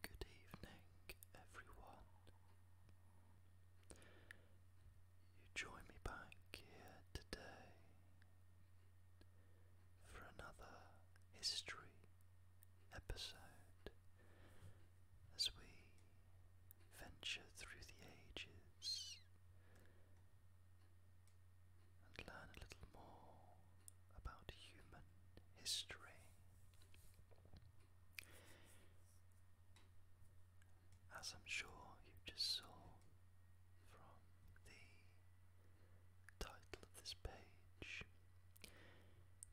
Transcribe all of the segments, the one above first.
Good evening, everyone. You join me back here today for another history episode as we venture through the ages and learn a little more about human history. As I'm sure you just saw from the title of this page,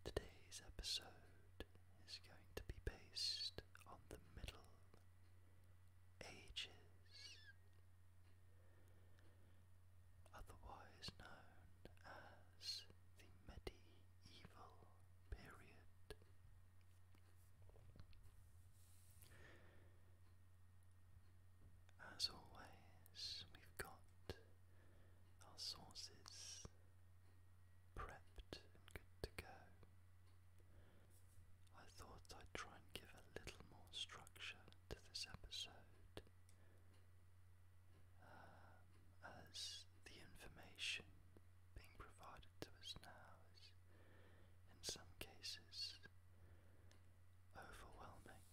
today's episode is going to be based on the Middle Ages otherwise known as the medieval period. As always, we've got our sources prepped and good to go. I thought I'd try and give a little more structure to this episode uh, as the information being provided to us now is in some cases overwhelming.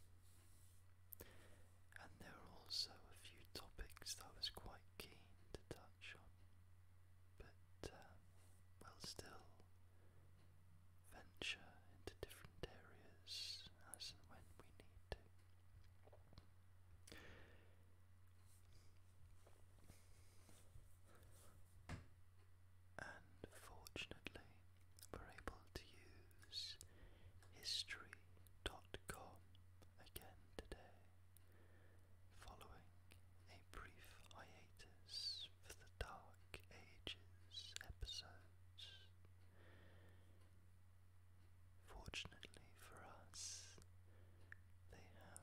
And there are also a few topics that I was quite keen to touch on, but um, uh, we still venture into different areas as when we need to. And fortunately, we're able to use history.com again today, following a brief hiatus for the Dark Ages episodes. Fortunately for us, they have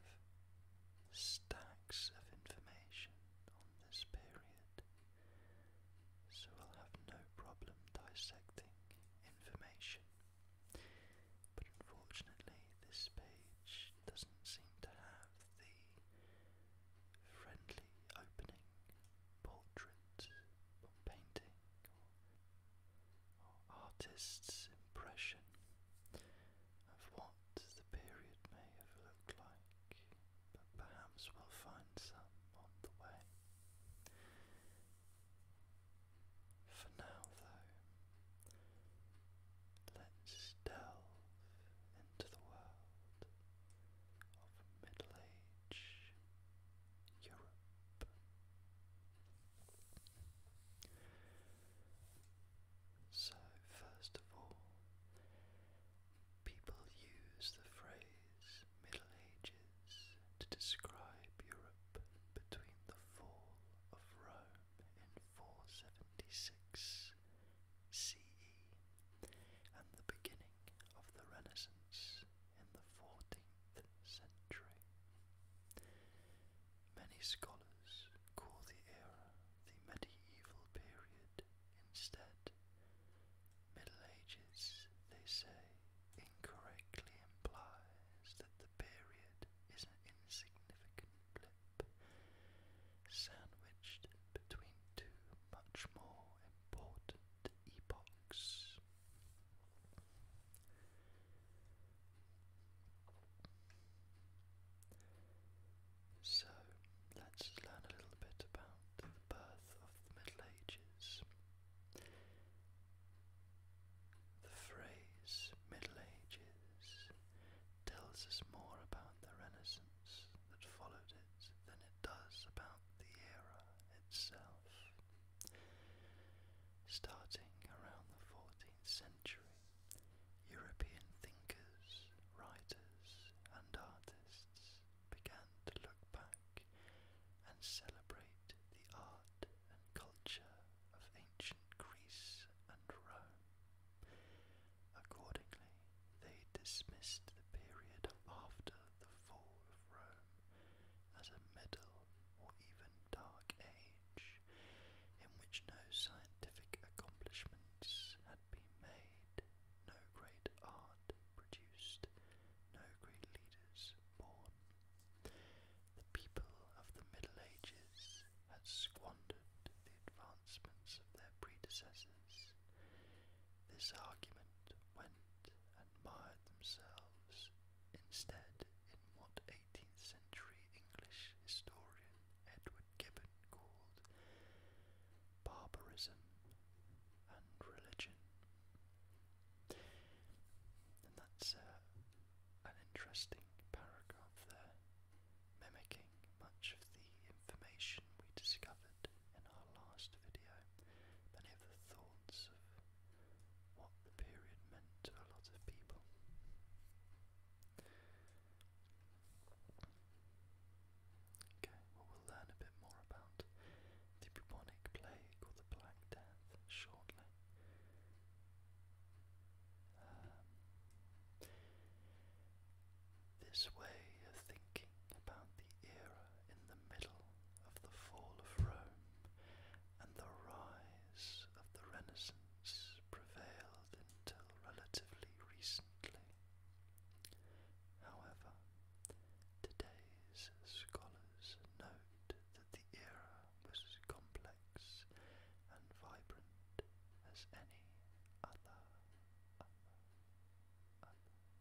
stacks of information on this period, so we'll have no problem dissecting information. But unfortunately, this page doesn't seem to have the friendly opening portrait painting or artist's impression of what the period may have looked like, but perhaps we'll find some on the way. For now, though, let's delve into the world of Middle Age Europe. So, first of all, people use the phrase Middle Ages to describe Europe between the fall of Rome in 476 CE and the beginning of the Renaissance in the 14th century. Many scholars call the era the medieval period instead. Middle Ages, they say, incorrectly implies that the period is an insignificant blip sandwiched between two much more important epochs. So let's learn a little bit about the birth of the Middle Ages. The phrase Middle Ages tells us more about the Renaissance that followed it than it does about the era itself. Starting around the 14th century, European thinkers, writers, and artists began to look back and celebrate the art and culture of ancient Greece and Rome. Accordingly, they dismissed the period after the fall of Rome as a middle or even dark age in which no scientific accomplishments had been made, no great art produced, no great leaders born. The people of the Middle Ages had squandered the advancements of their predecessors. This argument went and mired themselves instead in what 18th century English historian Edward Gibbon called barbarism and religion. And that's uh, an interesting paragraph there, mimicking much of the information we discovered in our last video many of the thoughts of what the period meant to a lot of people. Okay, well we'll learn a bit more about the bubonic plague or the Black Death shortly. Um, this way of thinking about the era in the middle of the fall of Rome and the rise of the Renaissance prevailed until relatively recently. However, today's scholars note that the era was as complex and vibrant as any other, other. Okay,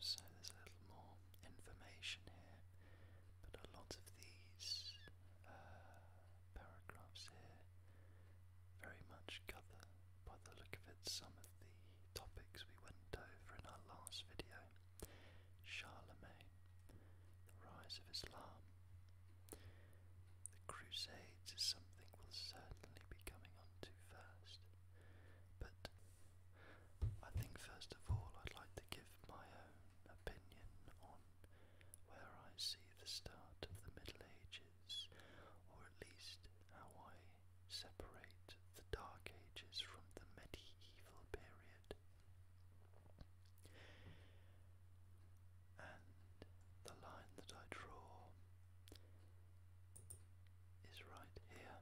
so there's a little more information here, but a lot of these uh, paragraphs here very much cover, by the look of it, some of the topics we went over in our last video Charlemagne, the rise of Islam. The Crusades is something we'll certainly be coming on to first, but I think first of all I'd like to give my own opinion on where I see the start of the Middle Ages, or at least how I separate the Dark Ages from the medieval period. And the line that I draw is right here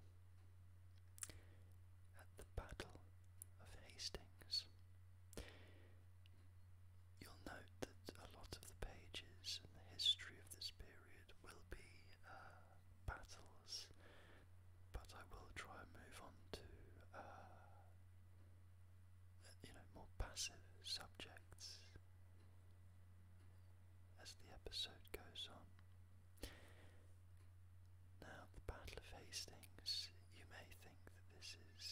at the Battle of Hastings. You'll note that a lot of the pages and the history of this period will be uh, battles, but I will try and move on to uh, you know more passive subjects as the episode goes on. Now, the Battle of Hastings, you may think that this is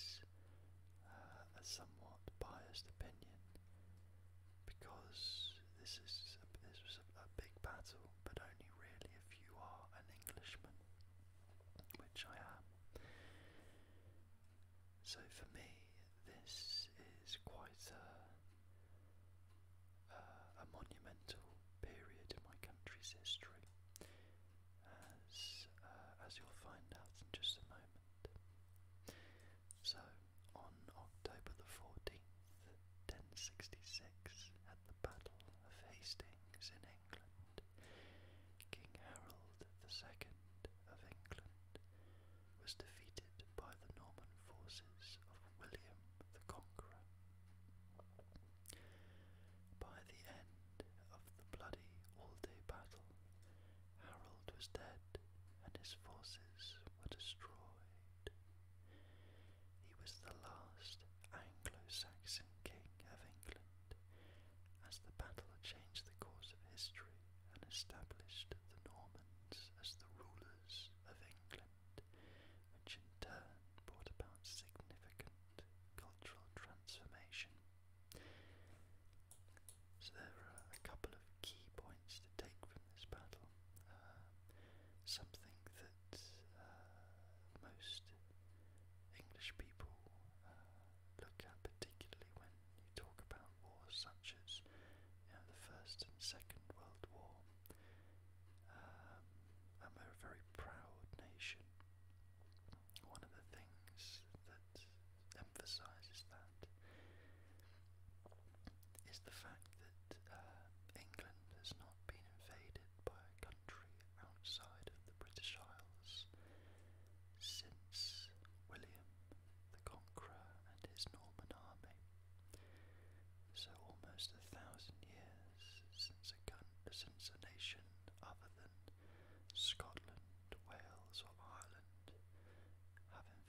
uh, a somewhat biased opinion, because this is a, this was a, big battle, but only really if you are an Englishman, which I am. So for me, this is quite a, a, monumental period in my country's history, as uh, as you'll find out in just a moment. So on October the fourteenth. 1066 at the Battle of Hastings in England, King Harold II of England was defeated by the Norman forces of William the Conqueror. By the end of the bloody all-day battle, Harold was dead and his forces were destroyed. He was the last Anglo-Saxon king of England, as the battle changed the course of history and established the Normans as the rulers of England, which in turn brought about significant cultural transformation. So there are a couple of key points to take from this battle uh, something that uh, most English people uh, look at, particularly when you talk about wars such as you know, the First and Second World War. Um, and we're a very proud nation. One of the things that emphasises that is the fact that uh, England has not been invaded by a country outside of the British Isles since William the Conqueror and his Norman army. So almost a thousand years since a, nation other than Scotland, Wales or Ireland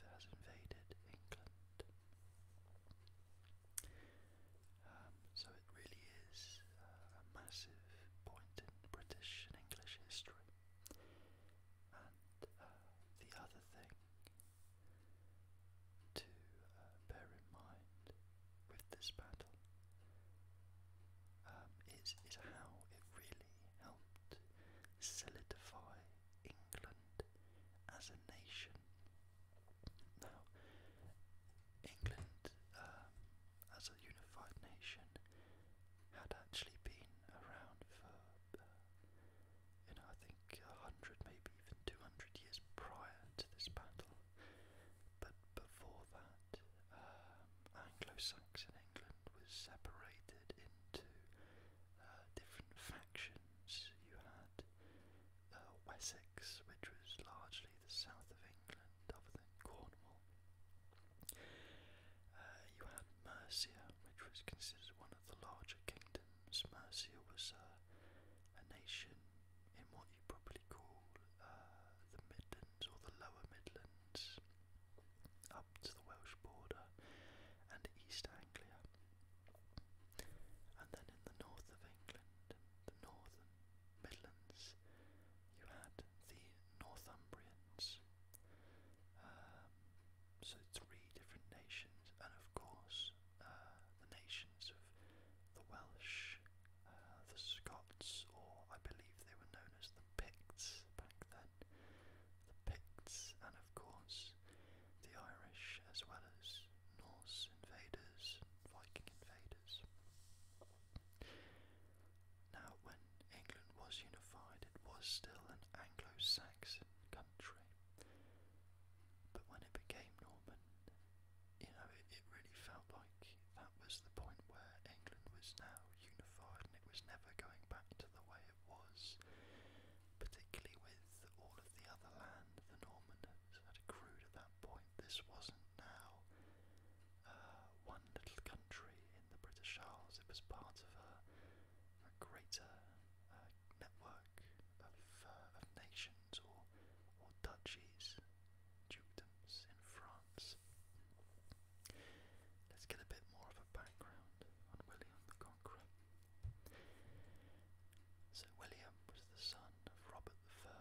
has invaded England. Um, so it really is uh, a massive point in British and English history. And uh, the other thing to uh, bear in mind with this battle um, is, is how it really helped solidify England as a nation now, England um, as a unified nation had actually been around for, uh, I think a hundred, maybe even two hundred years prior to this battle. But before that, um, Anglo-Saxon England was separated into uh, different factions. You had Wessex, which was largely the south of England, other than Cornwall. Uh, you had Mercia, which was considered one of the larger kingdoms. Mercia was uh, a nation in what you probably call uh, the Midlands or the Lower Midlands, up to the Welsh border and East and then in the north of England, the northern Midlands, you had the Northumbrians. Um, so three different nations, and of course uh, the nations of the Welsh, uh, the Scots, or I believe they were known as the Picts back then. The Picts, and of course the Irish as well as Norse invaders, Viking invaders. Now, when England was unified, it was still an Anglo Saxon country. But when it became Norman, you know, it, it really felt like that was the point where England was now unified and it was never going back to the way it was, particularly with all of the other land the Normans had accrued at that point. This wasn't now uh, one little country in the British Isles, it was part of a, greater uh, network uh, of, nations or, or duchies, dukedoms in France. Let's get a bit more of a background on William the Conqueror. Sir William was the son of Robert I,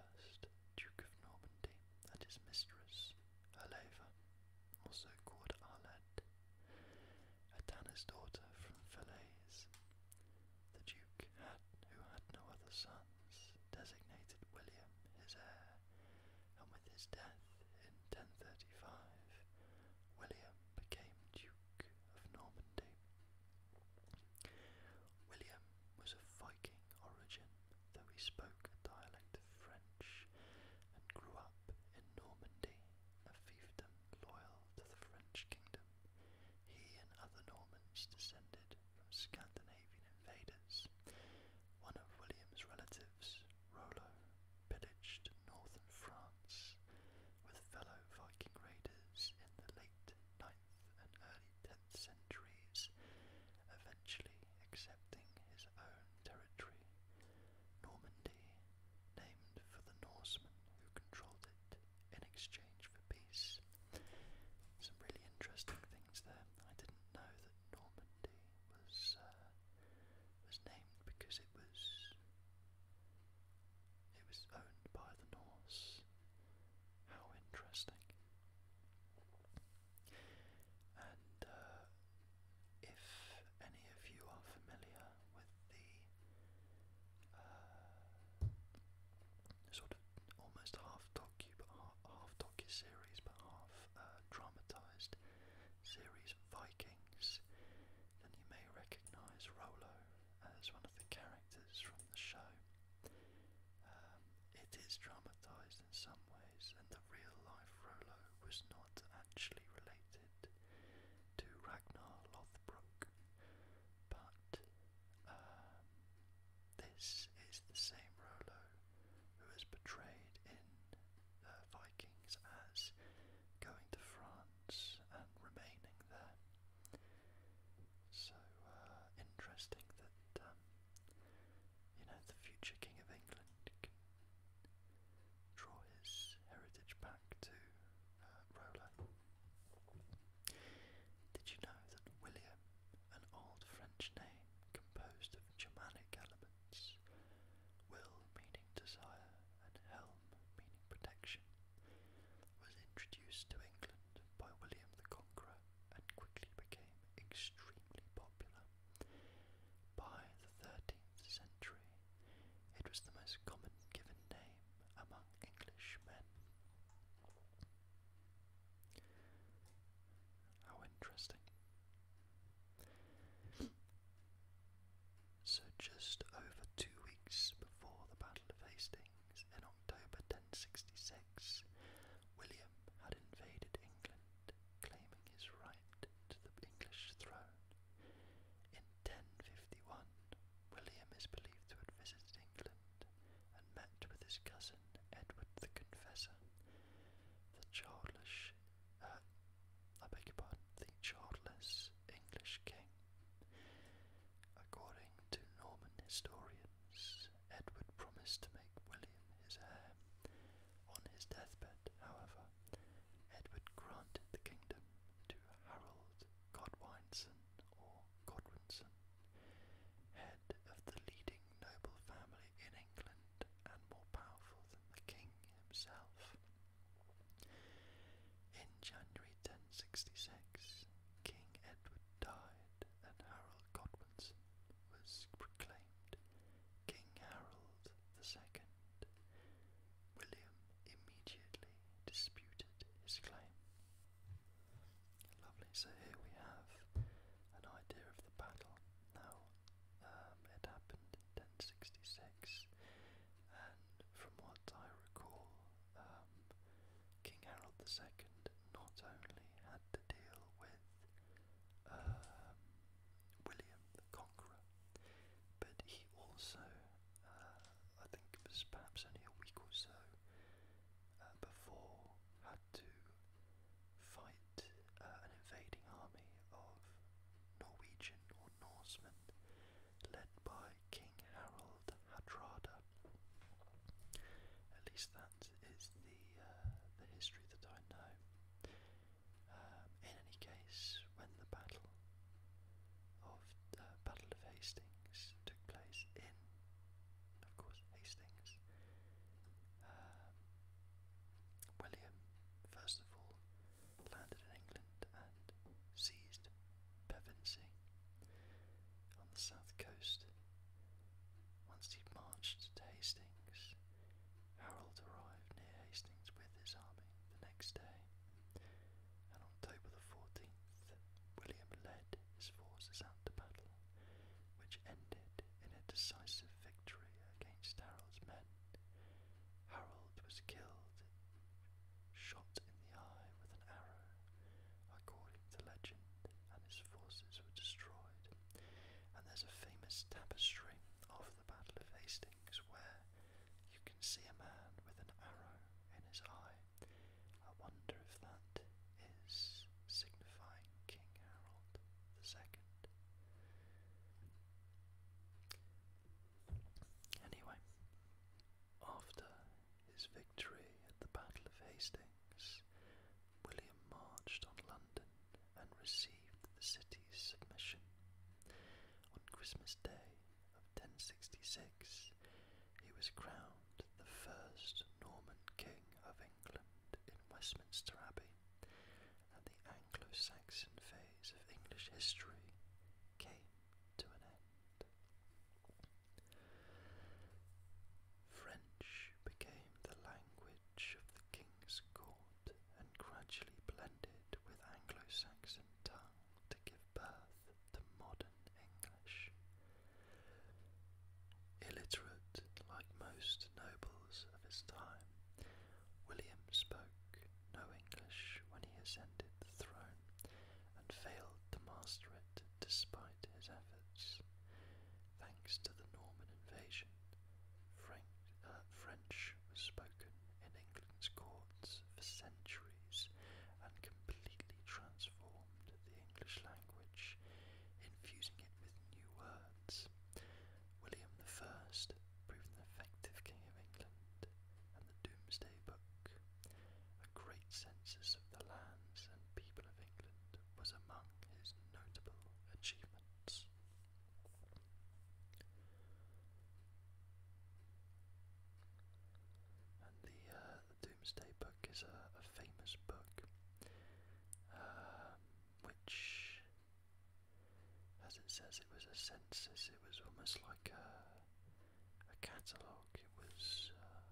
Duke of Normandy, and his mistress, Herleva, also called Arlette, a tanner's daughter from Falaise. The Duke, had, who had no other sons, designated William his heir, and with his death in 1035, William became Duke of Normandy. William was of Viking origin, though he spoke a dialect of French and grew up in Normandy, a fiefdom loyal to the French kingdom. He and other Normans descended from Scandinavian invaders. One of William's relatives, Rollo, pillaged northern France with fellow Viking raiders in the late 9th 9th and early 10th centuries, eventually accepting his own territory, Normandy, named for the Norsemen who controlled it in exchange for peace. Some really interesting things there. I didn't know that Normandy was uh, was named because it was it was owned by the Norse. How interesting. And uh, if any of you are familiar with the uh, sort of almost half docu, but half, docu uh, series, but half dramatized series Vikings, then you may recognize Rollo as one of the characters from the show. Um, it is dramatised in some ways, and the real life Rollo was not actually related to Ragnar Lothbrok, but um, this is the same Rollo who is portrayed in uh, Vikings as going to France and remaining there. So uh, interesting that um, you know the future King of England can draw his heritage back to uh, Did you know that William, an old French name composed of Germanic elements, will meaning desire and helm meaning protection, was introduced to England by William the Conqueror and quickly became extremely popular. By the 13th century, it was the most common given name among English men. How interesting. So, just over two weeks before the Battle of Hastings in October 1066, William had invaded England, claiming his right to the English throne. In 1051, William is believed to have visited England and met with his cousin Edward the Confessor. The childless, uh, I beg your pardon, the childless English king. According to Norman historians, Edward promised to make William his heir. On his deathbed, however, Edward granted the kingdom to Harold Godwinson or Godwinson, head of the leading noble family in England and more powerful than the king himself. In January 1066, King Edward died and Harold Godwinson was proclaimed King Harold II. William immediately disputed his claim. Lovely, so here we have an idea of the battle. Now, um, it happened in 1066, and from what I recall, um, King Harold II not only had to deal with um, William the Conqueror, but he also, uh, I think it was perhaps only a week or so uh, before, had to fight uh, an invading army of Norwegian or Norsemen led by King Harold Hadrada. At least that is the uh, the history that I know. Um, in any case, when the battle of uh, Battle of Hastings took place in, of course, Hastings, um, William first of all landed in England and seized Pevensey on the south coast. Once he marched to Hastings, Harold arrived near Hastings with his army the next day, and on October the 14th, William led his forces out to battle, which ended in a decisive victory against Harold's men. Harold was killed, shot in the eye with an arrow according to legend, and his forces were destroyed. And there's a famous tapestry of the Battle of Hastings where you can see a man with an arrow in his eye. I wonder if that is signifying King Harold II. Anyway, after his victory at the Battle of Hastings, William marched on London and received the city's submission. On Christmas Day of 1066, he was crowned the first Norman King of England in Westminster Abbey, and the Anglo Saxon phase of English history came to an end. French became the language of the king's court and gradually blended with Anglo-Saxon tongue to give birth to modern English. Illiterate like most nobles of his time, William spoke no English when he ascended the throne and failed to master it despite his efforts. Thanks to the Norman invasion, uh, French was spoken in England's courts for centuries and completely transformed the English language, infusing it with new words. William I proved an effective King of England, and the Doomsday Book a great census of the lands and people of England was among his notable achievements. And the, uh, Doomsday Book is a, famous book um, which, as it says, it was a census, it was almost like a catalogue it was. Uh,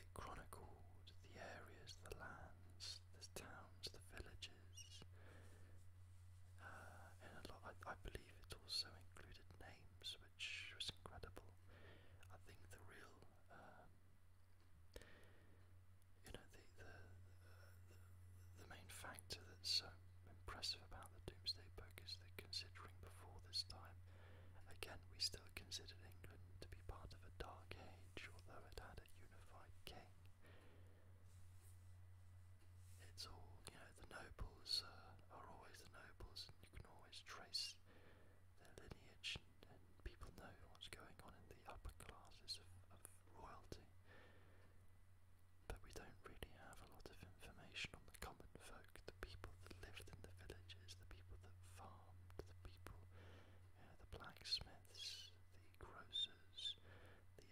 it chronicled the areas, the lands, the towns, the villages, uh, and a lot. I, believe it also included names, which was incredible. I think the real, um, you know, the the, the the main factor that's so impressive about the Doomsday Book is that considering before this time Again, we still considered England to be part of a dark age, although it had a unified king. It's all, you know, the nobles uh, are always the nobles, and you can always trace their lineage, and, and people know what's going on in the upper classes of, of royalty. But we don't really have a lot of information on the common folk, the people that lived in the villages, the people that farmed farmed, the people, uh, the blacksmiths, the grocers, the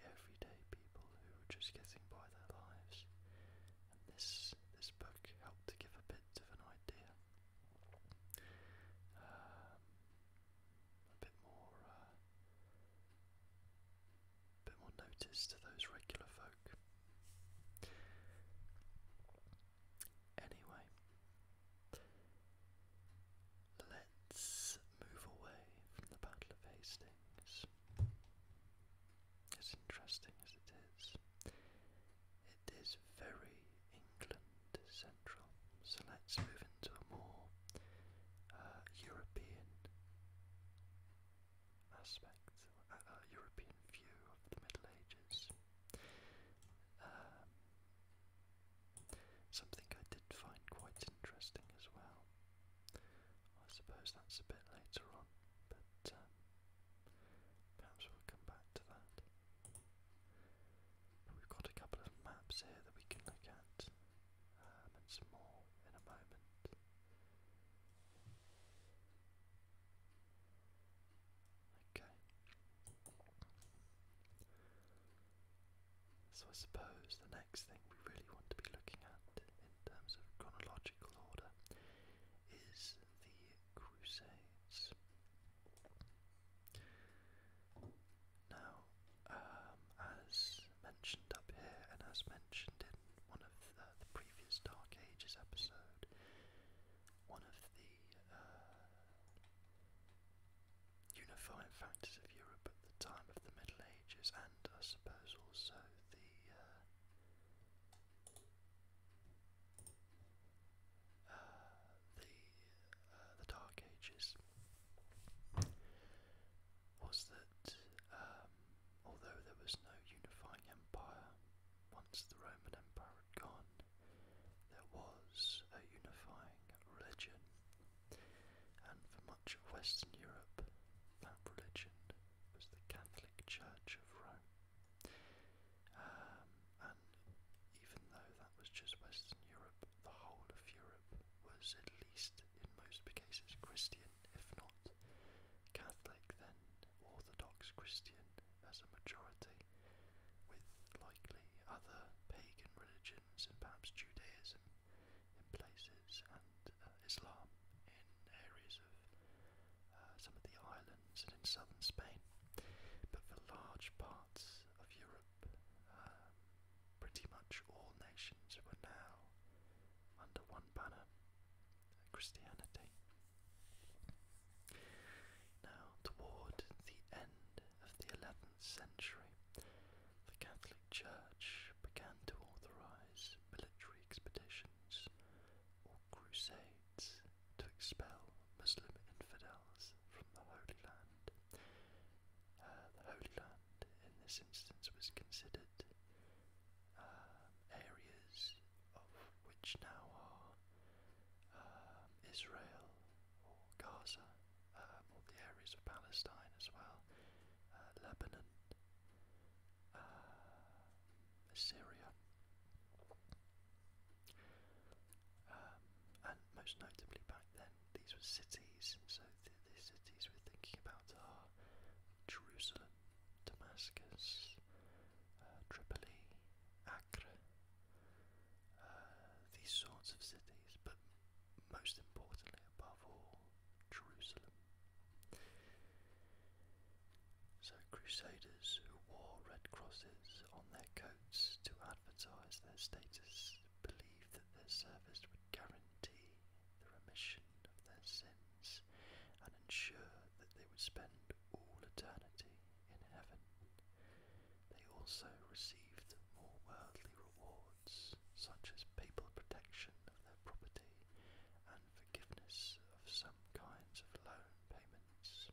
everyday people who were just getting by their lives. And this this book helped to give a bit of an idea, um, a bit more, uh, a bit more notice to those regular folk. Anyway, let's move away from the Battle of Hastings. As interesting as it is, it is very England central. So let's move into a more uh, European aspect, European view of the Middle Ages. Uh, something I did find quite interesting as well. I suppose that's a bit later on, but um, perhaps we'll come back to that. we've got a couple of maps here that we can look at, um, and some more in a moment. Okay. So I suppose the next thing we really want to be looking at in terms of chronological order is the Crusades. Now, um, as mentioned up here and as mentioned in one of the previous Dark Ages episode, one of the uh, unifying factors of Europe at the time of the Middle Ages, and I suppose also the uh, the uh, the Dark Ages, was that um, although there was no unifying empire once the Roman Empire Aragon, there was a unifying religion, and for much of Western Europe, that religion was the Catholic Church of Rome. Um, and even though that was just Western Europe, the whole of Europe was at least in most cases Christian, if not Catholic, then Orthodox Christian as a majority, with likely other pagan religions and perhaps Judaism in places and uh, Islam in areas of uh, some of the islands and in southern Spain. But for large parts of Europe, um, pretty much all nations were now under one banner Christianity. Now, toward the end of the 11th century, the Catholic Church began to authorize military expeditions or crusades to expel Muslim infidels from the Holy Land. Uh, the Holy Land, in this instance, was considered um, areas of which now are uh, Israel or Gaza, um, all the areas of Palestine as well, uh, Lebanon, uh, Syria, um, and most notably back then, these were cities. So the, cities we're thinking about are Jerusalem, Damascus, uh, Tripoli, Acre, uh, these sorts of cities, but most importantly, above all, Jerusalem. So, crusaders who wore red crosses on their coats to advertise their status believed that their service would guarantee the remission of their sins and ensure that they would spend all eternity in heaven. They also received more worldly rewards, such as papal protection of their property and forgiveness of some kinds of loan payments.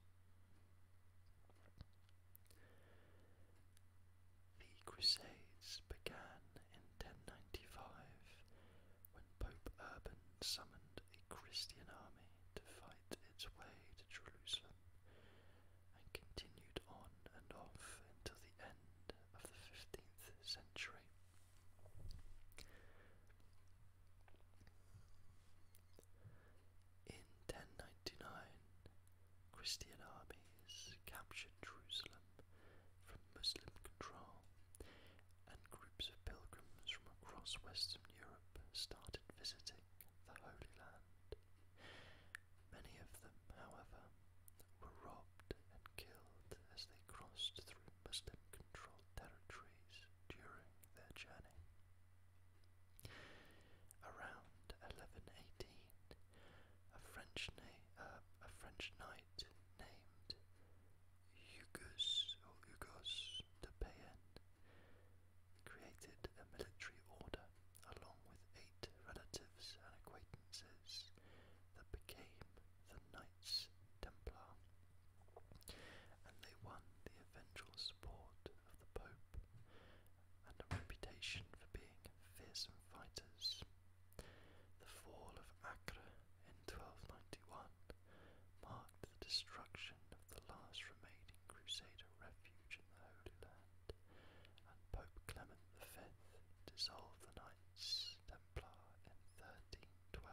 The Crusades began in 1095 when Pope Urban summoned a Christian army to fight its way to Jerusalem and continued on and off until the end of the 15th century. In 1099, Christian armies captured Jerusalem from Muslim control, and groups of pilgrims from across Western Europe started visiting the Holy Land. Many of them, however, were robbed and killed as they crossed through Muslim controlled territories during their journey. Around 1118, uh, a French, knight named Hugus or Hugos de Payenne created a military order along with eight relatives and acquaintances that became the Knights Templar, and they won the eventual support of the Pope and a reputation for being fearsome fighters. The fall of Acre in 1291 marked the destruction of the last remaining Crusader refuge in the Holy Land, and Pope Clement V dissolved the Knights Templar in 1312.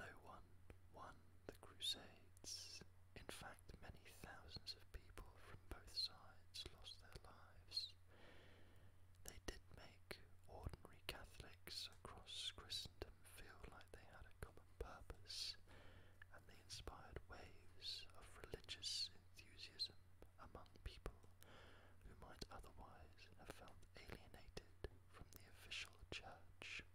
No one won the Crusades. In fact, many thousands of people from both sides lost their lives. They did make ordinary Catholics across Christendom Christendom feel like they had a common purpose, and they inspired waves of religious enthusiasm among people who might otherwise have felt alienated from the official church.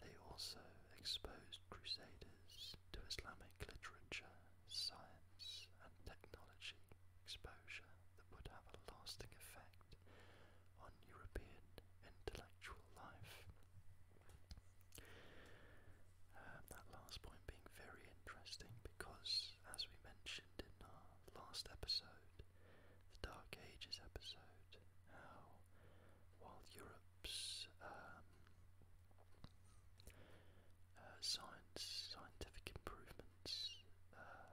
They also exposed crusaders to Islamic literature, science, and technology exposure that would have a lasting effect impact on European intellectual life. Um, that last point being very interesting because, as we mentioned in our last episode, the Dark Ages episode, how while Europe's um, uh, science, scientific improvements uh,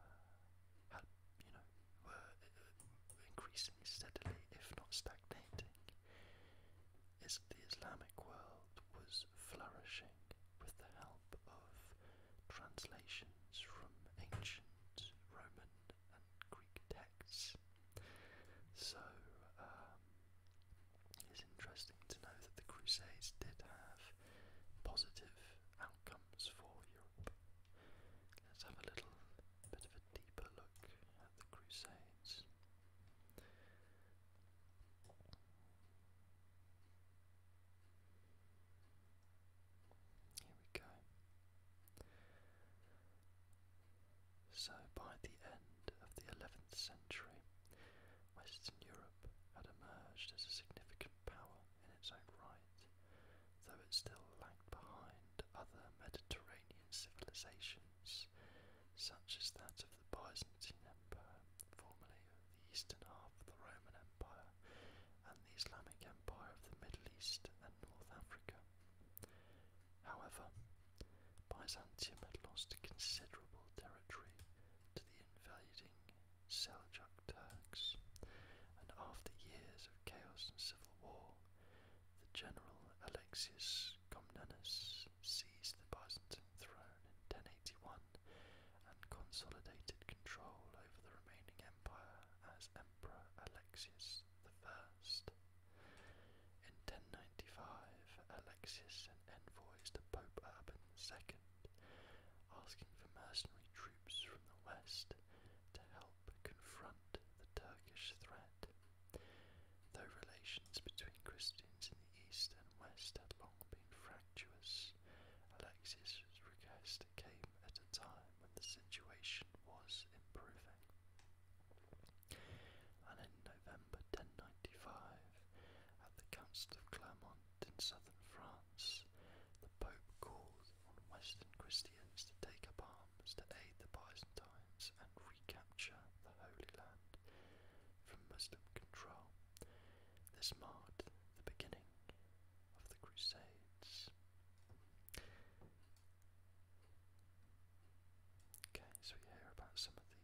had, you know, were uh, increasing steadily, if not stagnating, as the Islamic world was flourishing with the help of translations from ancient Roman and Greek texts. So um, it's interesting to know that the Crusades did have positive outcomes for Europe. Let's have a little bit of a deeper look at the Crusades. Here we go. So, by the end of the 11th century, Western Europe had emerged as a significant power in its own right though it still lagged behind other Mediterranean civilizations, such as that of the Byzantine Empire, formerly the eastern half of the Roman Empire, and the Islamic Empire of the Middle East and North Africa. However, Byzantium had lost considerable territory to the invading Seljuk Turks, and after years of chaos and civil war, the general Alexius Comnenus seized the Byzantine throne in 1081 and consolidated control over the remaining empire as Emperor Alexius I. In 1095, Alexius sent envoys to Pope Urban II, asking for mercenary troops from the west to help confront the Turkish threat. Though relations between Christians in the East and West had long been fractious, Alexius's request came at a time when the situation was improving. And in November 1095, at the Council of Clermont in southern France, the Pope called on Western Christians to take up arms to aid the Byzantines and recapture the Holy Land from Muslim control. This marked the beginning of the Crusades. Okay, so we hear about some of the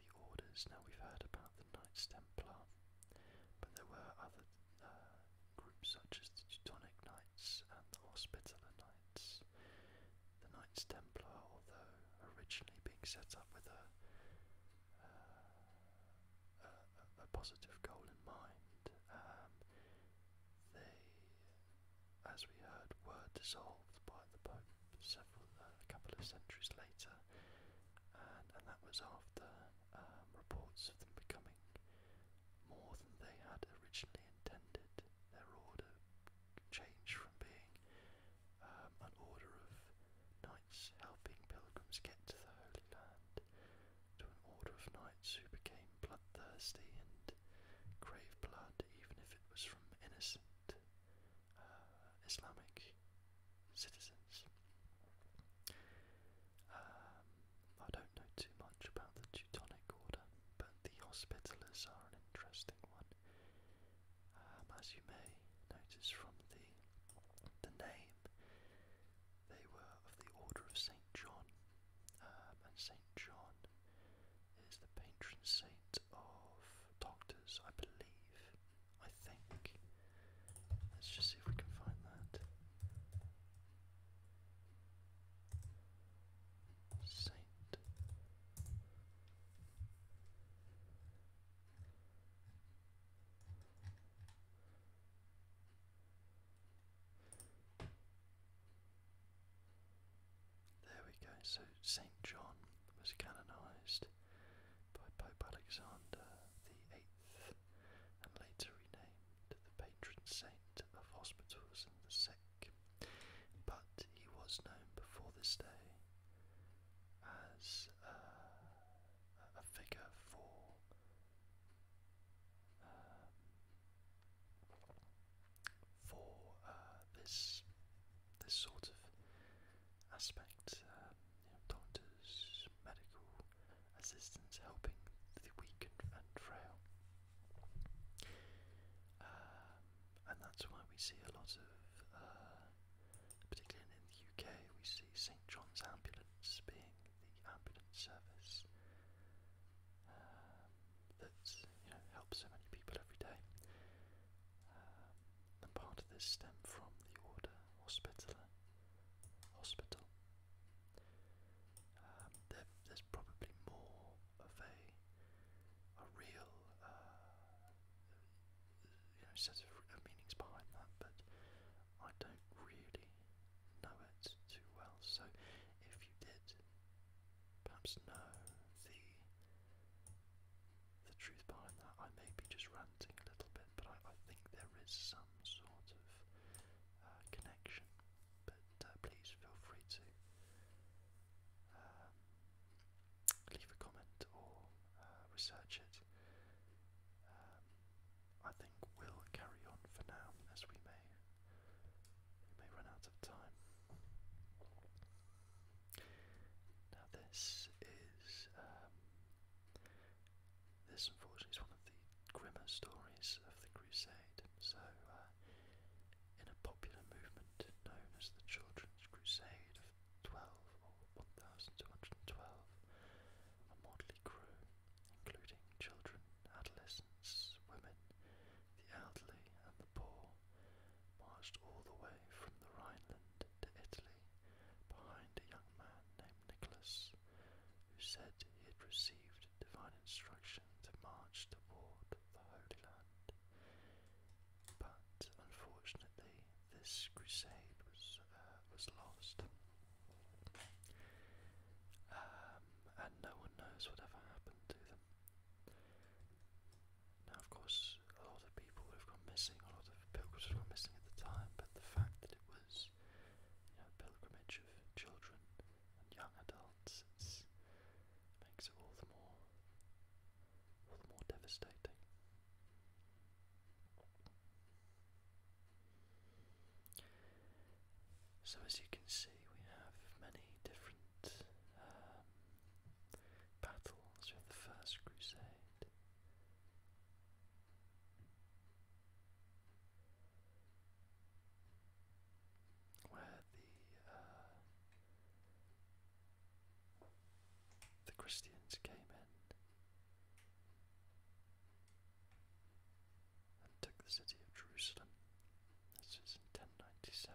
the orders. Now we've heard about the Knights Templar, but there were other uh, groups such as the Teutonic Knights and the Hospitaller Knights. The Knights Templar, although originally being set up with a, uh, a, a positive goal in mind, um, they, as we heard, were dissolved by the Pope several uh, a couple of centuries later, and, and that was after um, reports of them becoming more than they had originally intended. Their order changed from being um, an order of knights helping pilgrims get to the Holy Land to an order of knights who became bloodthirsty and craved blood, even if it was from innocent uh, Islamic citizens. Um, I don't know too much about the Teutonic Order, but the Hospitallers are an interesting one. Um, as you may notice from the, the name, they were of the Order of St. John, um, and St. John is the patron saint of doctors, I believe. I think. Let's just see if we can find that. Saint. There we go. So Saint John was canonized by Pope Alexander the Eighth and later renamed the patron saint of hospitals and the sick, but he was known before this day as uh, a figure for um, for uh, this this sort of aspect. Um, doctors, medical assistance helping the weak and, frail. Um, and that's why we see a lot of, uh, particularly in the UK, we see St John's Ambulance being the ambulance service um, that you know, helps so many people every day. Um, and part of this stemmed from the order hospital, hospital, um, there's probably more of a a real uh, you set of uh, meanings behind that, but I don't really know it too well. So if you did, perhaps know the the truth behind that, I may be just ranting a little bit, but I, think there is some sort of uh, connection but uh, please feel free to um, leave a comment or uh, research it. Um, I think we'll carry on for now, as we may may run out of time. Now this is um, this unfortunately is one of the grimmer stories of the Crusade, so uh, in a popular movement known as the Children's Crusade of 12 or 1212, a motley crew including children, adolescents, women, the elderly and the poor, marched all the way from the Rhineland to Italy behind a young man named Nicholas, who said he had received divine instruction to march toward the Holy Land. But unfortunately, this crusade was uh, was lost, um, and no one knows whatever happened to them. Now, of course, a lot of people would have gone missing, a lot of pilgrims would have gone missing at the time. But the fact that it was, you know, pilgrimage of children young adults, it makes it all the more, all the more devastating. So as you can see, we have many different um, battles with the First Crusade where the uh, the Christians came in and took the city of Jerusalem. This is in 1097. Uh,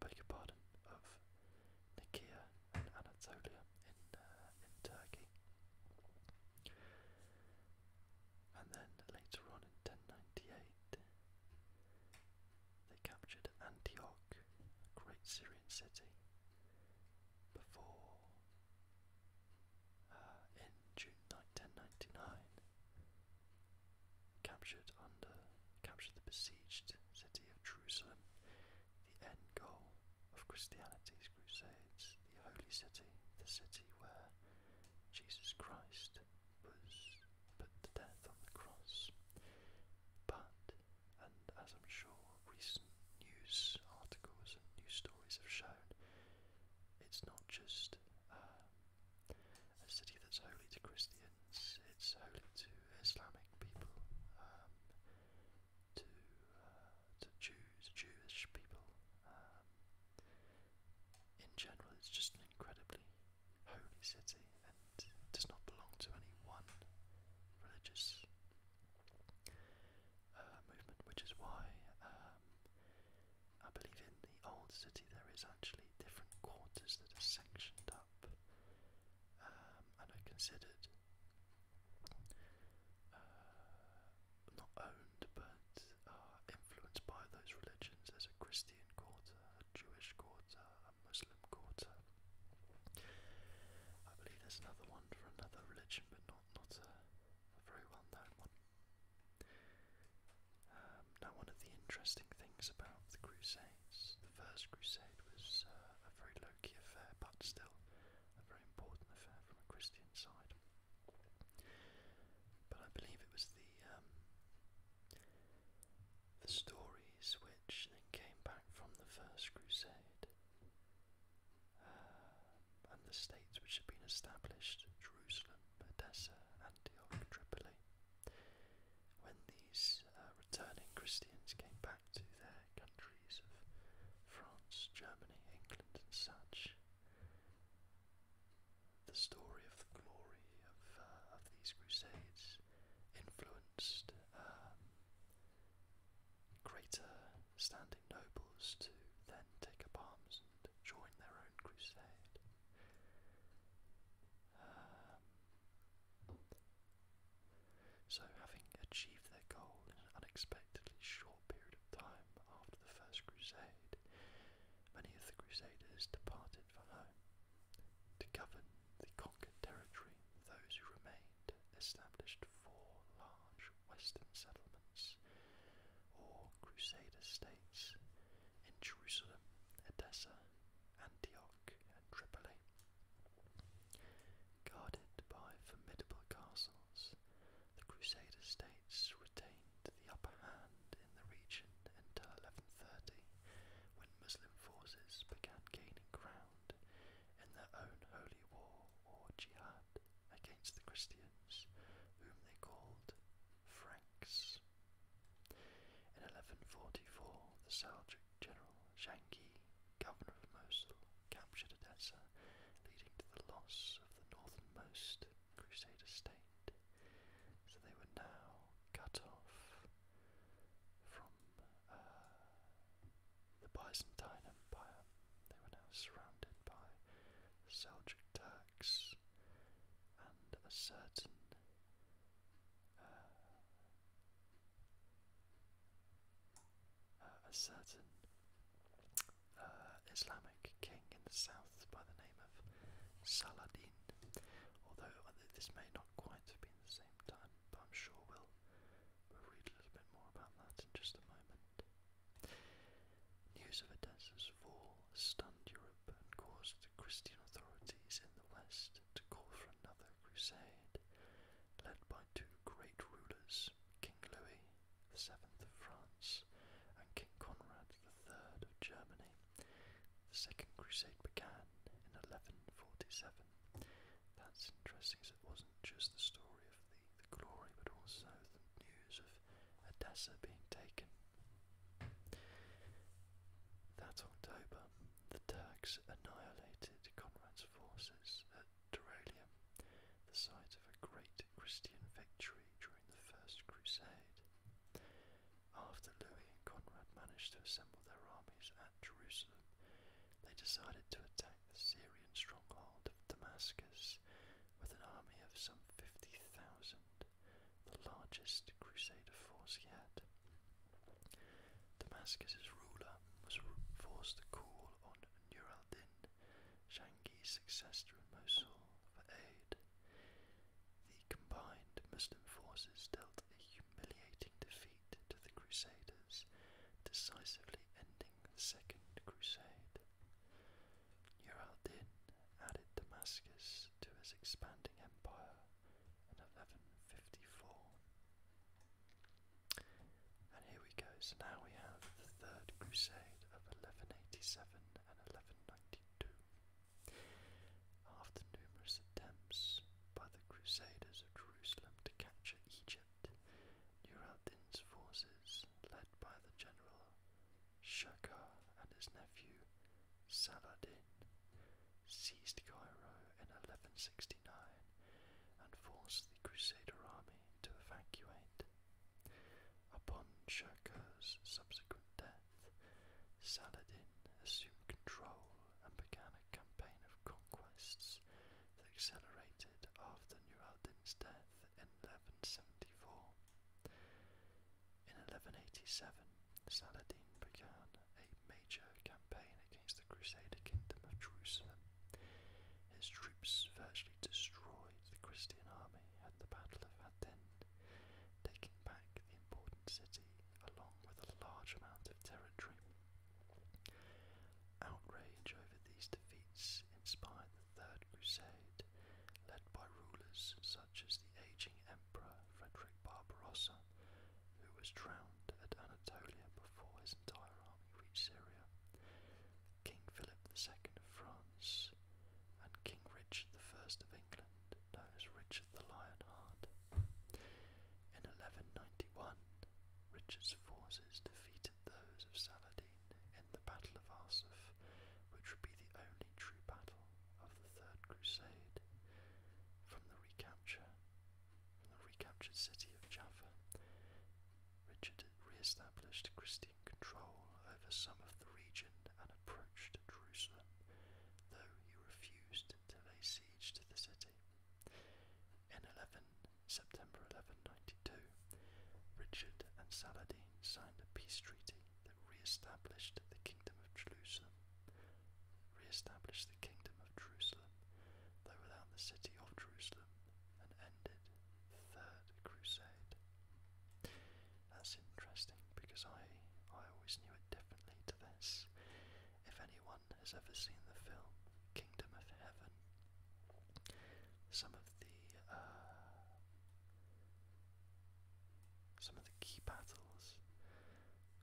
beg your pardon, of Nicaea, and Anatolia in, uh, in Turkey. And then later on in 1098, they captured Antioch, a great Syrian city, before uh, in June 1099, captured under captured the besieged city of Jerusalem the end goal of Christianity's crusades, the holy city, the city where Jesus Christ was put to death on the cross. But, and as I'm sure recent news articles and news stories have shown, it's not just um, a city that's holy to Christians, it's holy to Islamic people. Um, to uh, to Jews, Jewish people. Um, in general, it's just an incredibly holy city, and it does not belong to any one religious uh, movement, which is why um, I believe in the old city there is actually different quarters that are sanctioned up um, and are considered uh, not owned but are influenced by those religions. There's a Christian quarter, a Jewish quarter, a Muslim quarter. I believe there's another one for another religion, but not not a, a very well known one. Um, now, one of the interesting things about the Crusades, the First Crusade was uh, a very affair, but still a very important affair from a Christian side. But I believe it was the um, the stories which then came back from the First Crusade uh, and the states which had been established, Jerusalem, Edessa, Antioch, Tripoli, when these uh, returning Christians came back to their countries of France, Germany, England, and such. The story of the glory of, uh, of these crusades influenced um, greater standing nobles to then take up arms and join their own crusade. Um, so, having achieved their goal in an unexpectedly short period of time after the First Crusade, many of the Crusaders departed for home to govern the conquered territory. Those who remained established four large Western settlements, or Crusader states, in Jerusalem, Edessa, Antioch, and Tripoli. Guarded by formidable castles, the Crusader states retained the upper hand in the region until 1130, when Muslim forces began gaining ground in their own holy war or jihad against the Christians, whom they called Franks. In 1144, the Seljuk general Shanghi governor of Mosul, captured Edessa, leading to the loss of the northernmost Crusader state. So they were now cut off from uh, the Byzantine Empire. They were now surrounded by Seljuk Turks and a certain uh, uh, a certain uh, Islamic king in the south by the name of Saladin. Although uh, this may not quite have been the same time, but I'm sure we'll, read a little bit more about that in just a moment. News of Edessa's fall stunned Europe and caused the Christian authorities in the west to call for another crusade led by two great rulers, King Louis VII of France and King Conrad III of Germany. The Second Crusade began in 1147. That's interesting, as it wasn't just the story of the, the glory, but also the news of Edessa being taken. That October, the Turks annihilated Conrad's forces at Duralium, the site of a great Christian victory during the First Crusade. After Louis and Conrad managed to assemble their armies at Jerusalem, they decided to attack the Syrian stronghold of Damascus with an army of some 50,000, the largest Crusader force yet. Damascus's ruler was forced to call on Nur al-Din Shanghi's successor through Mosul for aid. The combined Muslim forces dealt a humiliating defeat to the Crusaders, decisively ending the Second Crusade. Nur al-Din added Damascus to his expanding empire in 1154. And here we go. So now we have the Third Crusade of 1187 and 1192. After numerous attempts by the Crusaders of Jerusalem to capture Egypt, Nur al-Din's forces, led by the general Shakar and his nephew Saladin, seized Cairo in 1169 and forced the Crusader army to evacuate. Upon Shirkuh's subsequent death, Saladin assumed control and began a campaign of conquests that accelerated after Nur al-Din's death in 1174. In 1187, Saladin began a major campaign against the Crusader kingdom of Jerusalem, his troops virtually destroyed the Christian army at the Battle of Aden, taking back the important city along with a large amount of territory. Outrage over these defeats inspired the Third Crusade, led by rulers such as the aging Emperor Frederick Barbarossa, who was drowned at Anatolia before his entire army reached Syria. King Philip II of France, and King Richard I of England, known as Richard the Lionheart. In 1191, Richard's forces defeated those of Saladin in the Battle of Arsuf, which would be the only true battle of the Third Crusade. From the recapture, from the recaptured city of Jaffa, Richard re-established Christian control over some of the region and approached Jerusalem, though he refused to lay siege to the city. In 11, September 1192, Richard and Saladin signed a peace treaty that re-established the Kingdom of Jerusalem. Re-established the Kingdom of Jerusalem, though without the city of Jerusalem and ended Third Crusade. That's interesting because I I always knew it differently to this. If anyone has ever seen the film Kingdom of Heaven, some of the uh, some of the key battles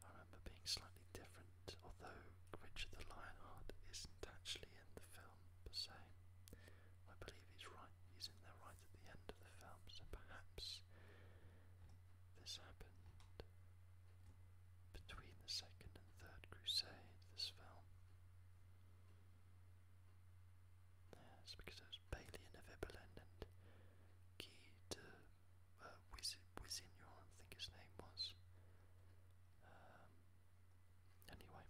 I remember being slightly different, although Richard the Lionheart isn't actually in the film film per I believe he's right. He's in there right at the end of the film, so perhaps this happened between the second and third crusade. This film. Yes, because it was Bailey and Evibalin and Guy de uh, I think his name was. Um, Anyway.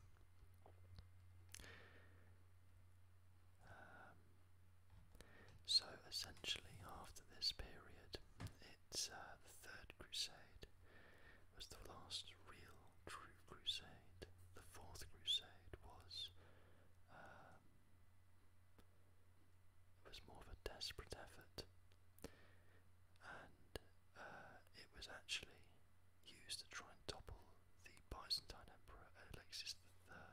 Um, so essentially, after this period, it's uh, the Third Crusade was the last real true crusade. The Fourth Crusade was um, was more of a desperate effort and uh, it was actually used to try and topple the Byzantine Emperor Alexis III.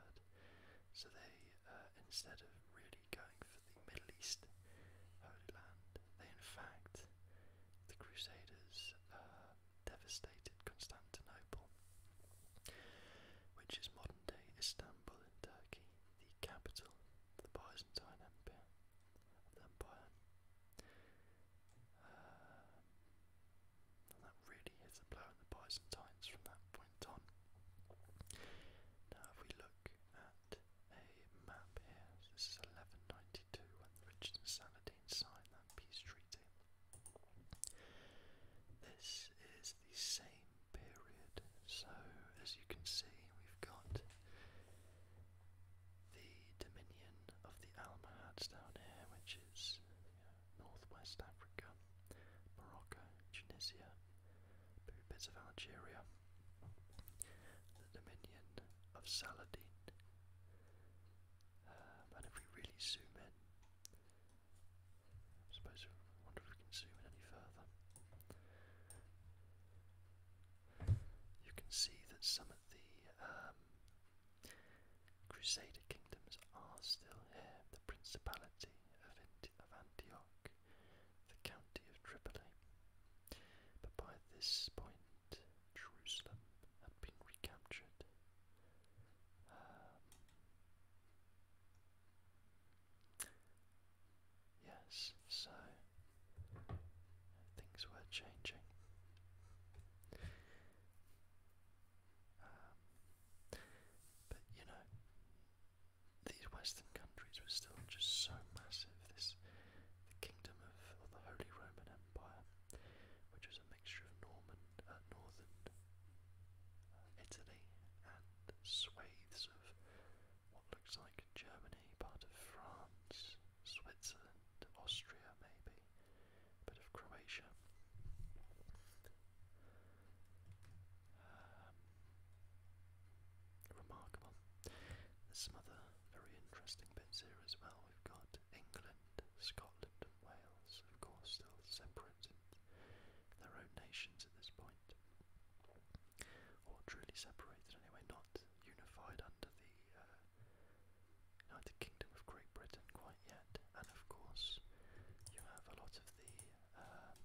So they, uh, instead of really going for the Middle East Holy Land, they in fact, the Crusaders uh, devastated Constantinople, which is modern day Istanbul in Turkey, the capital of the Byzantine Empire. Uh, that really is a blow at the Byzantines from that point on. Now, if we look at a map here, this is 1192 when Richard and Saladin signed that peace treaty. This is the same period, so as you can see, we've got the dominion of the Almohads down here, which is northwest Africa, Morocco, Tunisia, bits of Algeria, the dominion of Saladin, um, and if we really zoom in, I suppose wonder if we can zoom in any further. You can see that some of the um, Crusader kingdoms are still here the Principality of, Antioch, the County of Tripoli. But by this point, Jerusalem had been recaptured. Um, yes, so things were changing. Um, but you know, these Western countries were still just so massive. This, the kingdom of, the Holy Roman Empire, which was a mixture of Norman, uh, northern uh, Italy and swathes of what looks like Germany, part of France, Switzerland, Austria, maybe a bit of Croatia. Um, remarkable. There's some other very interesting bits here as well. We've got England, Scotland, and Wales, of course, still separate in their own nations at this point, or truly separated anyway, not unified under the uh, United Kingdom of Great Britain quite yet, and of course you have a lot of the um,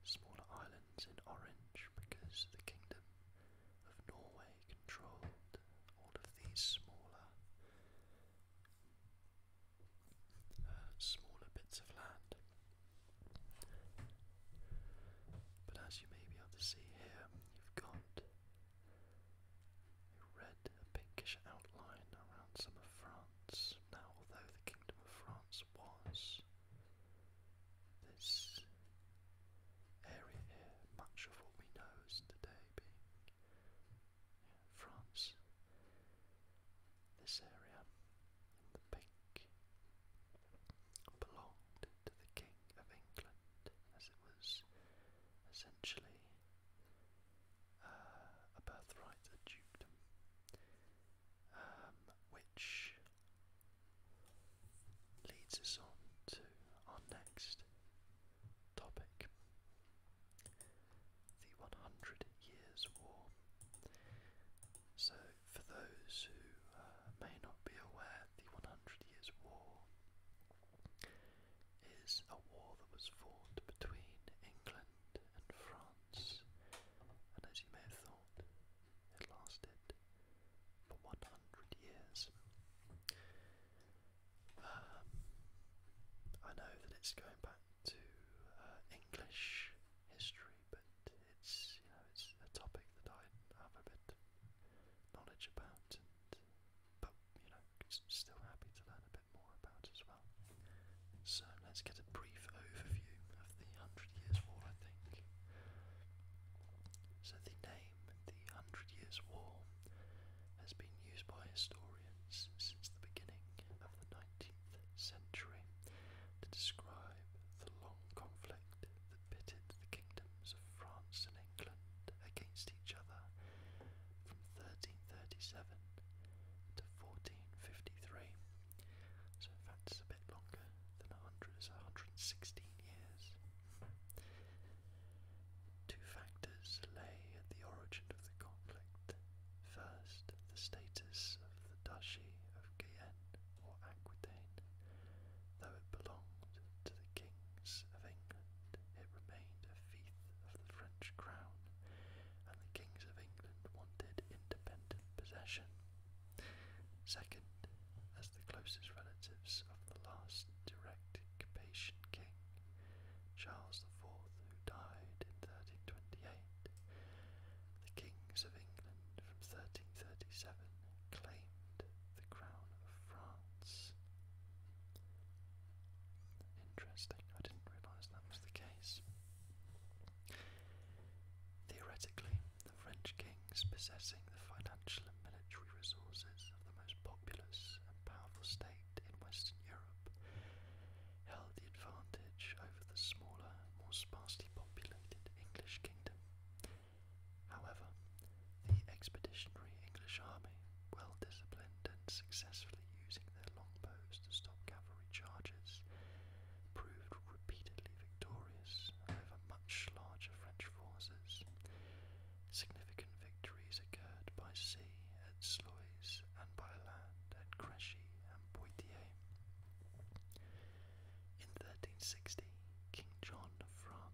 smaller islands in orange because the Kingdom of Norway controlled all of these smaller, uh, smaller bits of land. But as you may be able to see here, you've got a red, pinkish outline around some of France. Now, although the Kingdom of France was this area here, much of what we know as today being France, this area the pink belonged to the King of England because it was essentially uh, a birthright, a dukedom, um, which leads us on to our next topic the 100 Years' War. So, for those who uh, may not be aware, the 100 Years' War is a war that was fought between England and France, and as you may have thought, it lasted for 100 years. Um, I know that it's going back to uh, English history, but it's you know it's a topic that I have a bit knowledge about, but you know, still happy to learn a bit more about as well. So let's get a brief overview of the Hundred Years' War, I think. So the name, the Hundred Years' War, has been used by historians since the beginning of the 19th century to describe the long conflict that pitted the kingdom of France and England against each other from 1337 to 1453. So, in fact, it's a bit longer than 100, it's 116 years. Two factors lay at the origin of the conflict. First, the status of the Duchy of Guyenne or Aquitaine, though it belonged to the kings of England it remained a fief of the French crown, and the kings of England wanted independent possession. Second, as the closest relatives of the last direct Capetian king, Charles IV, who died in 1328, the kings of England from 1337 claimed the crown of France. Interesting, I didn't realise that was the case. Theoretically, the French kings possessing the financial and military resources of the most populous and powerful state in Western Europe held the advantage over the smaller, more sparsely populated English kingdom. However, the expeditionary English army, well disciplined and successfully using their longbows to stop cavalry charges, proved repeatedly victorious over much larger French forces. Significant victories occurred by sea at Sluys and by land at Crécy and Poitiers. In 1360, King John of France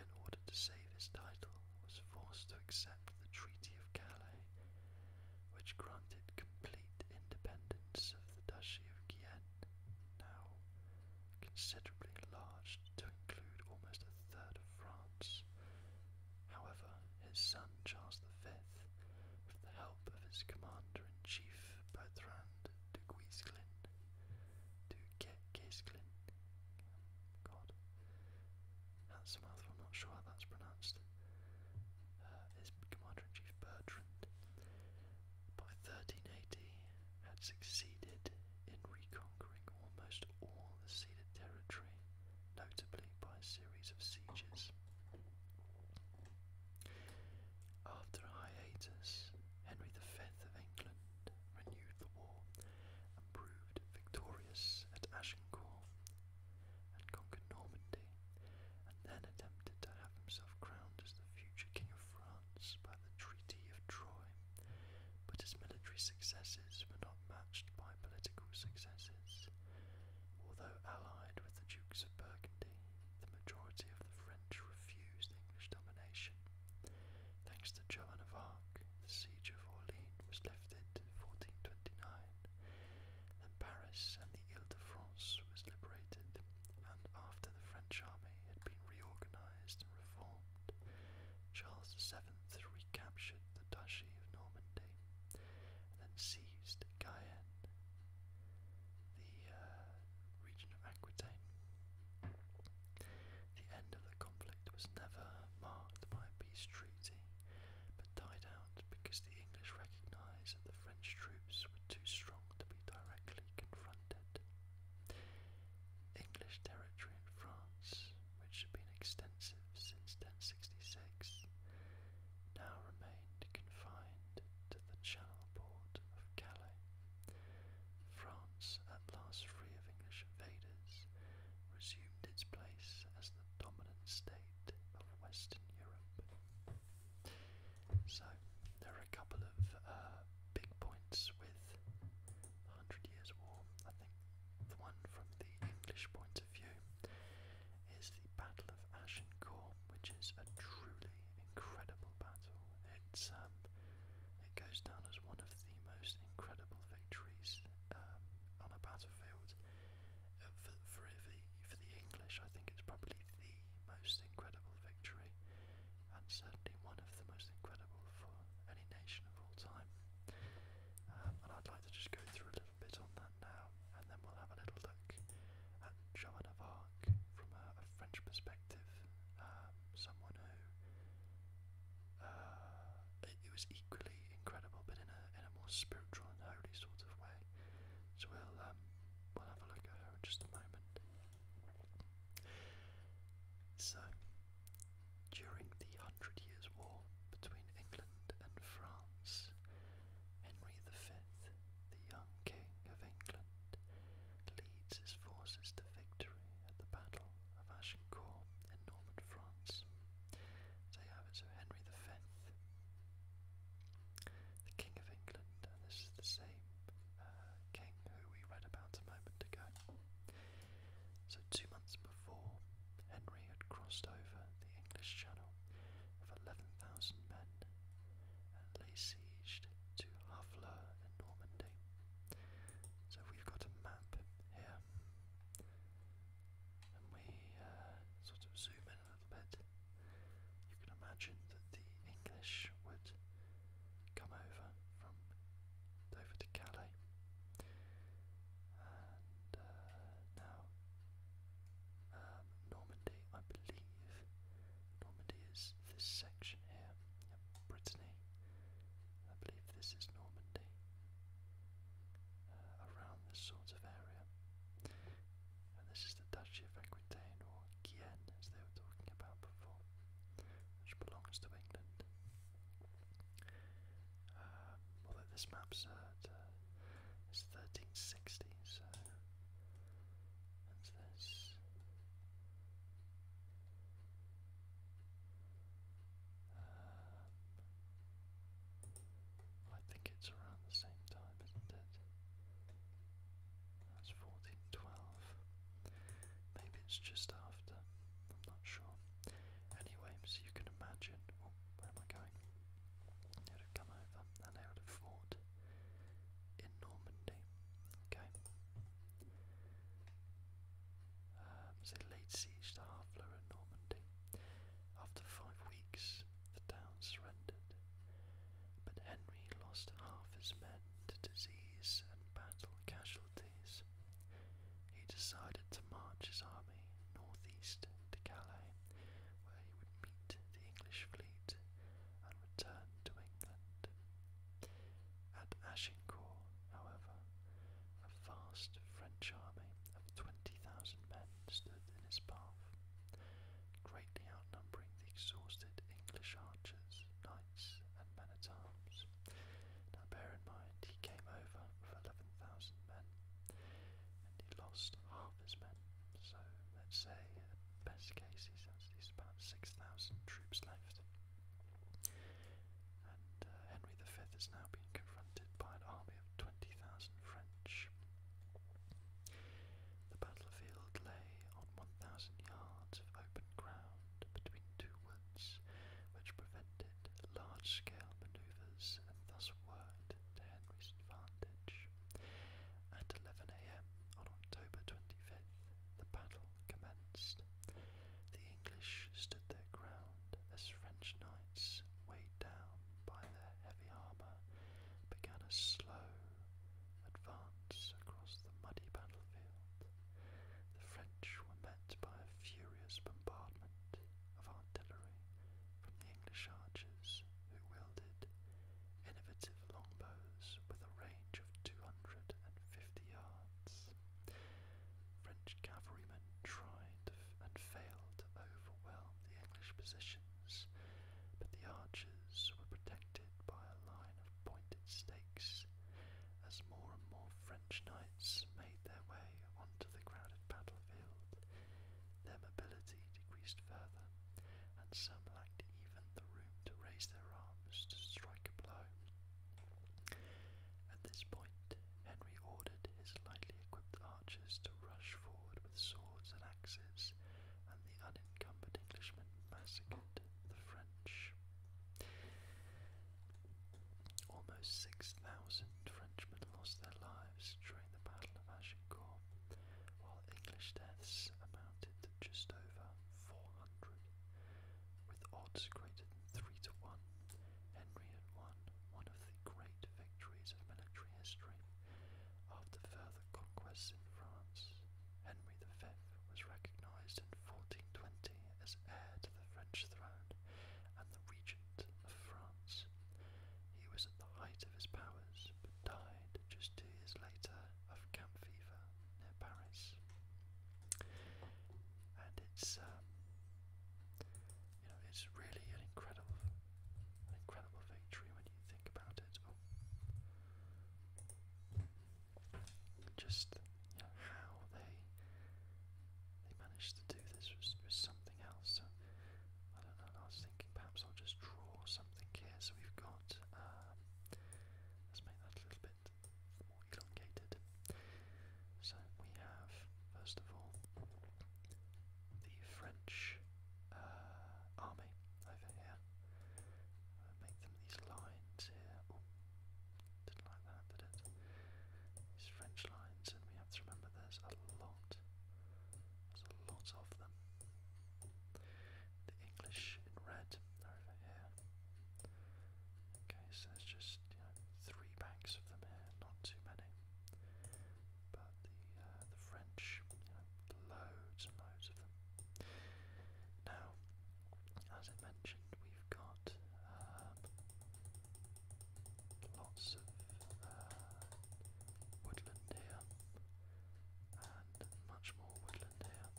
in order to save his title, was forced to accept the Treaty of Calais, which granted complete independence of the Duchy of Guienne, now considerably enlarged to include almost a third of France. However, his son Charles V, with the help of his commander-in-chief Bertrand de Guesclin, de Guesclin God, that's a I'm not sure how that's pronounced. Uh, Commander in Chief Bertrand by 1380 had succeeded in reconquering almost all the ceded territory, notably by a series of sieges. After a hiatus, Henry V of England renewed the war and proved victorious at Agincourt and conquered Normandy, and then attempted to have himself crowned as the future King of France by the Treaty of Troy, but his military successes were not matched by political successes. Although allied with the Dukes of Burgundy, the majority of the French refused English domination, Thanks to Joan of Arc, the siege of Orleans was lifted in 1429. Then Paris and the Ile-de-France was liberated, and after the French army had been reorganized and reformed, Charles VII recaptured the Duchy of Normandy and then seized Guyenne, the uh, region of Aquitaine. The end of the conflict was never marked by a peace treaty, but died out because the English recognised that the French troops were too strong to be directly confronted. English territory in France, which had been extensive since 1066, now remained confined to the channel port of Calais. France, at last free of English invaders, resumed assumed its place as the dominant state of Western Europe. So, there are a couple of uh, big points with the Hundred Years' War. I think the one from the English point of view is the Battle of Agincourt, which is a truly incredible battle. It's um, it goes down as one of the most incredible victories um, on a battlefield. Uh, for, for, the, for the English, I think it's probably the most incredible victory, and certainly one of the most incredible for any nation of all time. Um, and I'd like to just go through a little bit on that now, and then we'll have a little look at Joan of Arc from a, a French perspective, um, someone who uh, it, was equally incredible, but in a in a more spiritual and holy sort of way. So we'll um, we'll have a look at her in just a moment. So, during the Hundred Years' War between England and France, Henry V, the young King of England, leads his forces to victory at the Battle of Agincourt. Christian in northern France. They have it, so Henry V, the King of England, and this is the same uh, king who we read about a moment ago. So, two months before, Henry had crossed over the English Channel with 11,000 men and laid siege to Havre in Normandy. So, we've got a map here and we uh, sort of zoom in a little bit, you can imagine that the English would come over from Dover to Calais. And uh, now, um, Normandy, I believe, Normandy is this section here, Brittany. I believe this is Normandy, uh, around this sort of area. And this is the Duchy of Aquitaine, or Guienne, as they were talking about before, which belongs to England. Um, although this map's uh, it's 1360, uh, so this. Uh, I think it's around the same time, isn't it? That's 1412. Maybe it's just after. I'm not sure. Anyway, you can imagine. Oh, where am I going? It would have come over and they would have fought in Normandy. Okay um, they laid siege to Harfleur in Normandy. After five weeks, the town surrendered, but Henry lost half his men to disease and battle casualties. He decided to march his army northeast to Calais, where he would meet the English fleet and return to England. At Agincourt, however, a vast French army of 20,000 men stood in his path, greatly outnumbering the exhausted English archers, knights, and men at arms. Now bear in mind, he came over with 11,000 men, and he lost half his men. So let's say, at best case, he has about 6,000 troops left and uh, Henry V is now being confronted by an army of 20,000 French. The battlefield lay on 1,000 yards of open ground between two woods, which prevented large-scale manoeuvres and thus worked to Henry's advantage. At 11am on October 25th, the battle commenced. The English stood their ground as French knights, weighed down by their heavy armour, began a slow advance across the muddy battlefield. The French were met by a furious bombardment of artillery from the English archers, who wielded innovative longbows with a range of 250 yards. French cavalrymen tried and failed to overwhelm the English positions, but the archers were protected by a line of pointed stakes as more and more French knights made their way onto the crowded battlefield. Their mobility decreased further, and some lacked even the room to raise their arms to strike a blow. At this point, Henry ordered his lightly equipped archers to rush forward with swords and axes, and the unencumbered Englishmen massacred the French. Almost 6,000 Frenchmen lost their lives during the Battle of Agincourt, while English deaths amounted to just over 400. With odds greater than 3 to 1, Henry had won one of the great victories of military history. After further conquests in France, Henry V was recognised in 1420 as heir to the French throne and the regent of France. He was at the height of his powers, but died just two years later of camp fever near Paris. And it's um, you know, it's really an incredible, incredible victory when you think about it. Oh. Just you know, how they they managed to do this was, something else. I don't know. I was thinking perhaps I'll just draw something here. So we've got. Um, let's make that a little bit more elongated. So we have, first of all, the French uh, army over here. make them these lines here. didn't like that, did it? These French lines, and we have to remember there's a lot. There's a lot of them. The English in red are over here. Okay, so there's just three banks of them here, not too many. But uh, the French, you know, loads and loads of them. Now, as I mentioned, we've got um, lots of uh, woodland here, and much more woodland here.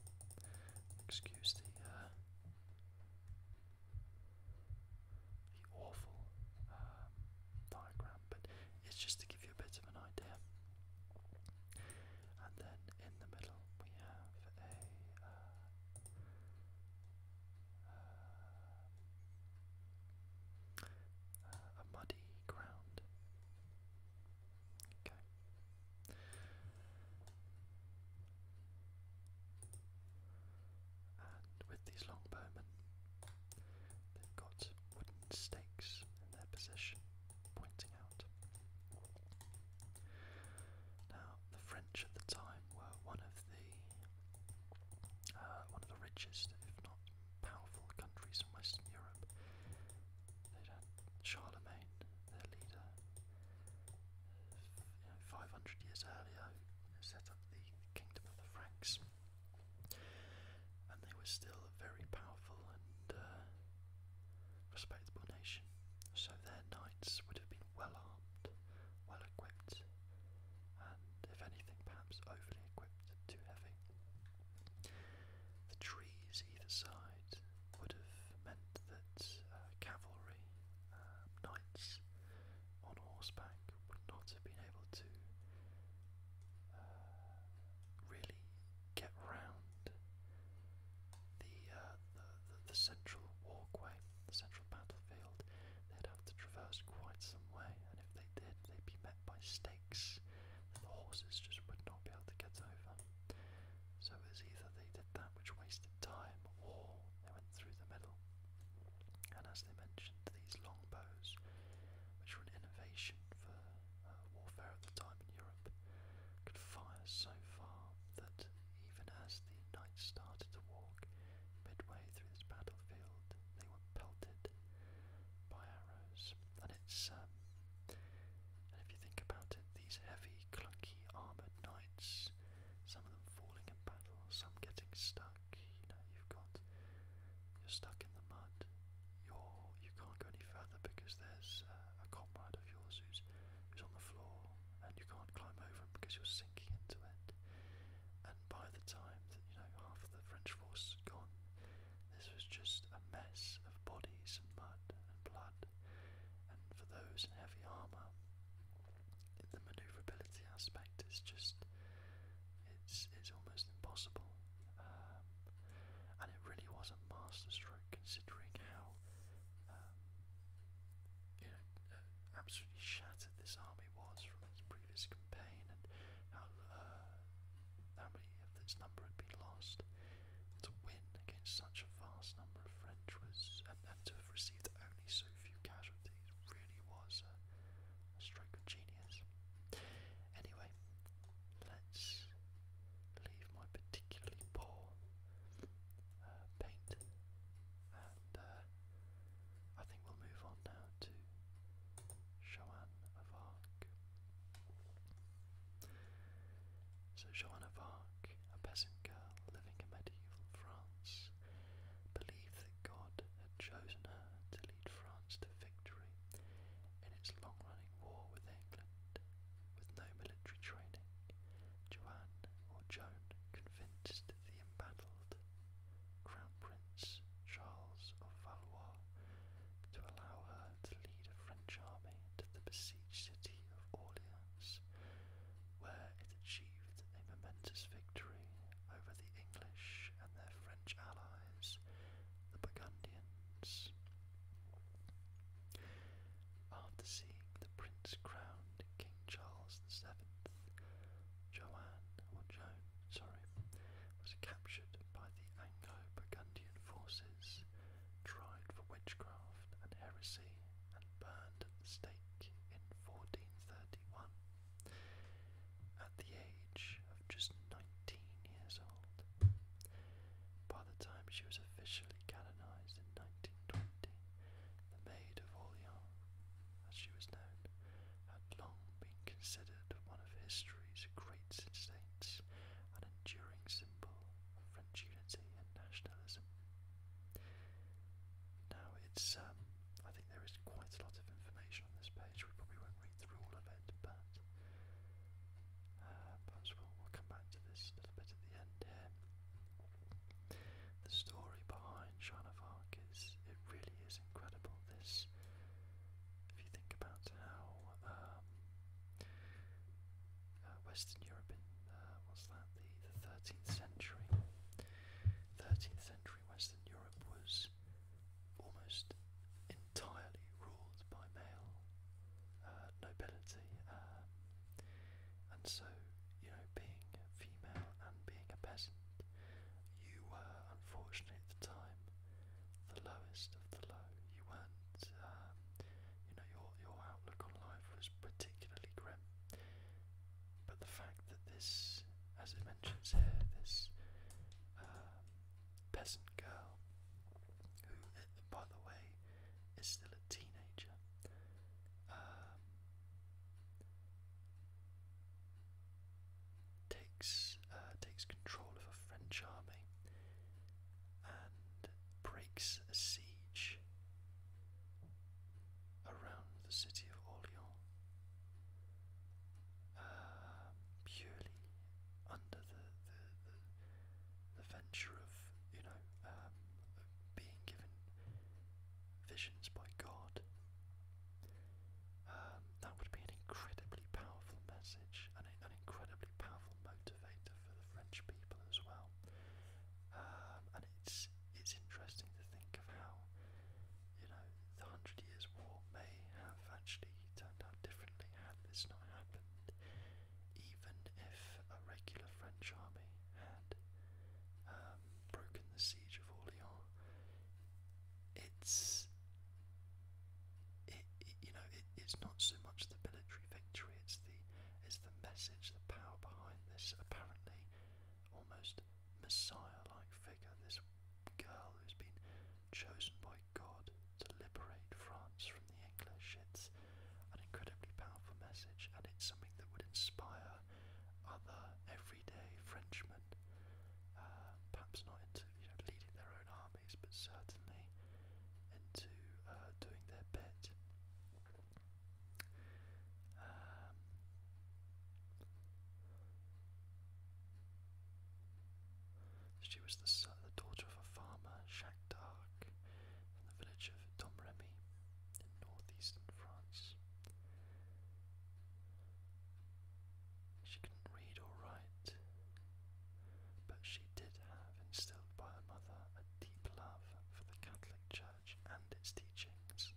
Excuse the uh, the awful um, diagram, but it's just to give you a bit of an idea. And then in the middle we have a uh, uh, muddy ground. Okay and with these longbowmen, they've got wooden stakes in their position, pointing out. Now, the French at the time were one of the uh, one of the richest, if not powerful, countries in Western Europe. They'd had Charlemagne, their leader, uh, 500 years earlier, set up the Kingdom of the Franks and they were still a very powerful and uh, respectable nation. So their knights would have been well armed, well equipped, and if anything, perhaps overly equipped, too heavy. The trees either side would have meant that uh, cavalry, uh, knights, on horseback would not have been able to uh, really get round the, uh, the, the, the central walkway, the central battlefield. They'd have to traverse quite some way, and if they did, they'd be met by stakes that the horses just would not be able to get over. So it was either they did that, which wasted time, or they went through the middle. And as they mentioned, these longbows, which were an innovation for uh, warfare at the time in Europe, could fire so far that even as the knights started to walk midway through this battlefield, they were pelted by arrows. And it's, um, and if you think about it, these heavy, clunky, armoured knights, some of them falling in battle, some getting stuck stuck. You know, you've got you're stuck in the mud. You're you can't go any further because there's uh, a comrade of yours who's who's on the floor, and you can't climb over him because you're sinking into it. And by the time that you know half of the French force had gone, this was just a mess of bodies and mud and blood. And for those in heavy armour, the maneuverability aspect is just it's it's almost impossible, um, and it really was a masterstroke considering how um, you know uh, absolutely shattered this army was from its previous campaign and how uh, how many of its number had been lost. To win against such a vast number of French was and, and to have received only so few casualties really was a, a stroke of genius. Anyway, let's leave my particularly poor uh, paint, and uh, I think we'll move on now to Joan of Arc. So Joan of Arc, a peasant girl living in medieval France, believed that God had chosen her to lead France to victory in its long running war with England. With no military training, Joanne or Joan convinced the embattled Crown Prince Charles of Valois to allow her to lead a French army to the besieged city of Orleans, where it achieved a momentous victory over the English and their friends allies, the Burgundians. After seeing the prince crowned King Charles VII, Joanne, or Joan, sorry, was captured by the Anglo-Burgundian forces, tried for witchcraft and heresy, and burned at the stake in 1431. At the age of just 19 years old, by the time she was officially canonized in 1920, the Maid of Orleans, as she was known, had long been considered one of history's great saints, an enduring symbol of French unity and nationalism. Now it's, um, I think there is quite a lot of information on this page. We probably won't read through all of it, but uh, perhaps we we'll come back to this a little bit at the end here. The story behind Shine of Arc is it really is incredible. This, if you think about how um, uh, Western Europe in uh, what's that the 13th century, 13th century Western Europe was is almost entirely ruled by male uh, nobility, uh, and so you know, being female and being a peasant, you were unfortunately at the time the lowest of the low. You weren't, um, you know, your your outlook on life was particularly grim. But the fact that this, as it mentions here, this um, peasant girl, who, by the way, is still a teenager. Um, takes uh, takes control of a French army and breaks a siege around the city of Orleans um, purely under the, the, the, venture of, you know, um, being given visions by God. Um, that would be an incredibly powerful message and an incredibly powerful motivator for the French people as well. and it's it's interesting to think of how you know, the Hundred Years' War may have actually turned out differently had this not happened, even if a regular French army had um, broken the siege of Orleans. It's, it, you know, it's not so much the military victory; it's the, it's the message, the power behind this apparently almost messiah-like figure, this girl who's been chosen by God to liberate France from the English. It's an incredibly powerful message, and it's something that would inspire other everyday Frenchmen, uh, perhaps not into you know, leading their own armies, but certainly into uh, doing their bit. Um, she was the, daughter of a farmer, Jacques d'Arc, from the village of Domremy in northeastern France. She couldn't read or write, but she did have instilled by her mother a deep love for the Catholic Church and its teachings.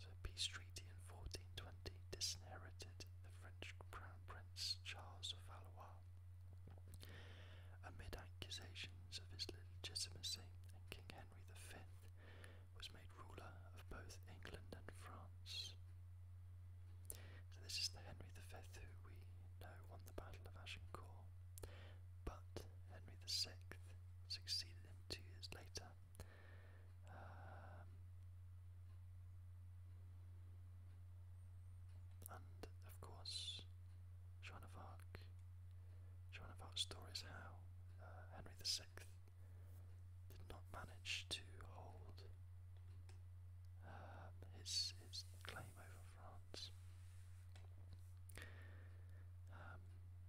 So Peace Treaty in 1420 disinherited the French Crown Prince Charles of Valois amid accusations of his legitimacy, and King Henry V was made ruler of both England and France. So this is the Henry V who we know the Battle of Agincourt, but Henry VI succeeded him two years later. Um, and of course, Joan of Arc. Joan of Arc's story how uh, Henry VI did not manage to hold um, his his claim over France. Um,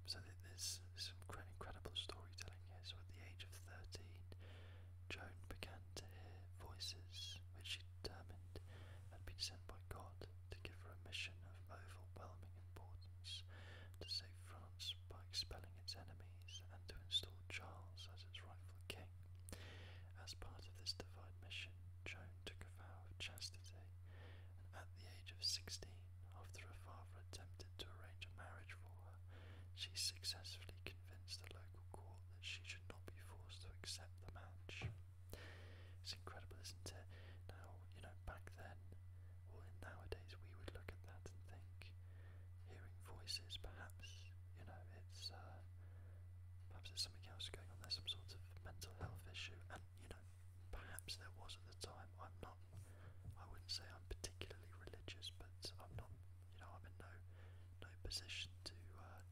so there's some incredible storytelling here. So at the age of 13, Joan began to hear voices which she determined had been sent by God to give her a mission of overwhelming importance to save France by expelling its enemies and to install Charles as its rightful king. As part of this divine mission, Joan took vow of chastity, and at the age of sixteen, after her father attempted to arrange a marriage for her, she successfully convinced the local court that she should not be forced to accept the match. It's incredible, isn't it? Now, you know, back then, or well, nowadays, we would look at that and think, hearing voices, perhaps, you know, it's uh, Perhaps there's something else going on. There's some sort of mental health issue, and you know, perhaps there was at the time. I'm not. I wouldn't say I'm particularly religious, but I'm not. You know, I'm in no no position to uh,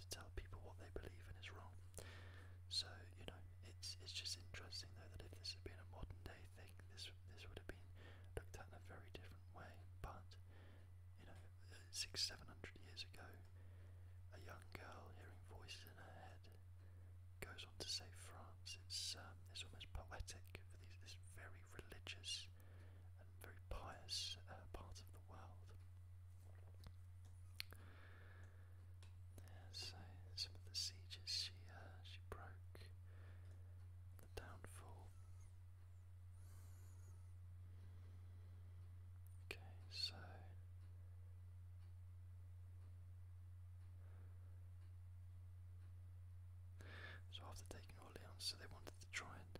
to tell people what they believe in is wrong. So you know, it's it's just interesting though that if this had been a modern day thing, this this would have been looked at in a very different way. But you know, six, seven hundred years ago, a young girl hearing voices in her head goes on to save France. It's um, it's almost poetic for this very religious and very pious uh, part of the world. so some of the sieges she uh, she broke, the downfall. Okay, so so after taking Orleans, so they wanted to try and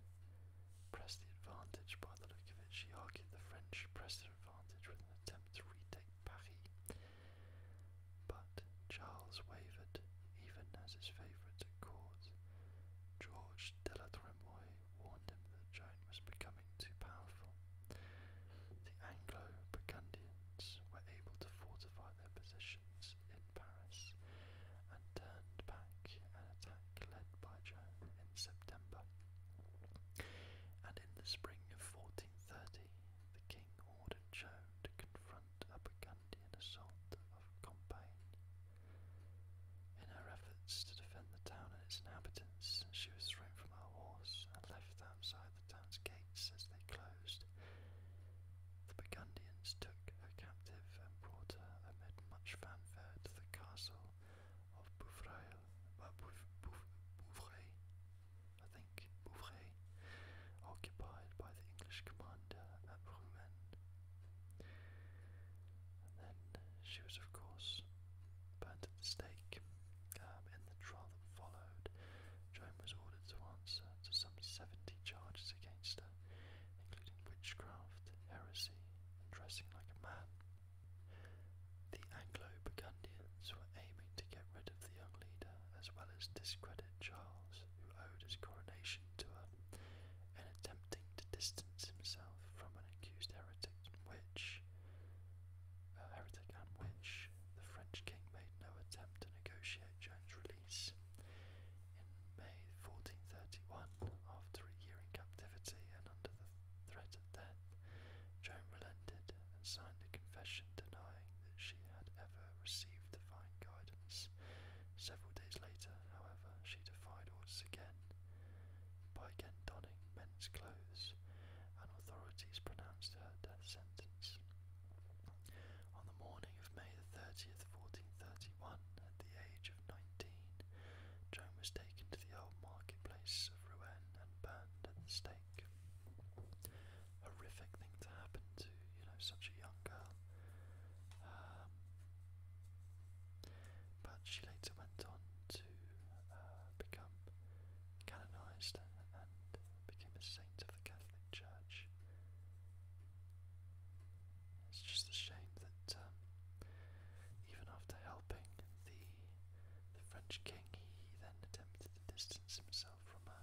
press the advantage. By the look of it, she argued the French pressed their advantage with an attempt to retake Paris. But Charles wavered, even as his favourite at court, George de la Tremoille, warned him that the was becoming too powerful. The Anglo-Burgundians were able to fortify their positions in Paris and turned back an attack led by Joan in September. And in the spring of 1430, the king ordered Joan to confront a Burgundian assault of campaign. In her efforts to defend the town and its inhabitants, she was thrown from her horse and left outside the town's gates as they closed. The Burgundians took her captive and brought her amid much fanfare to the castle of Bouvray, uh, I think Bouvray, occupied by the English commander at and then she was, of course, burnt at the stake. Um, in the trial that followed, Joan was ordered to answer to some 70 charges against her, including witchcraft, heresy, and dressing like a man. The Anglo-Burgundians were aiming to get rid of the young leader as well as discredit Charles, who owed his coronation to her, in attempting to distance himself from an accused heretic which heretic and which the French king made no attempt to negotiate Joan's release. In May 1431, after a year in captivity and under the threat of death, Joan relented and signed a confession denying that she had ever received divine guidance. Several days later, however, she defied orders again by again donning men's clothes, and authorities pronounced her death sentence. On the morning of May 30th, 1431, at the age of 19, Joan was taken to the old marketplace of Rouen and burned at the stake. Horrific thing to happen to, you know, such a young girl. Um, but she later went on to uh, become canonized and became a saint of the Catholic Church. It's just a shame that um, even after helping the the French king, he then attempted to distance himself from her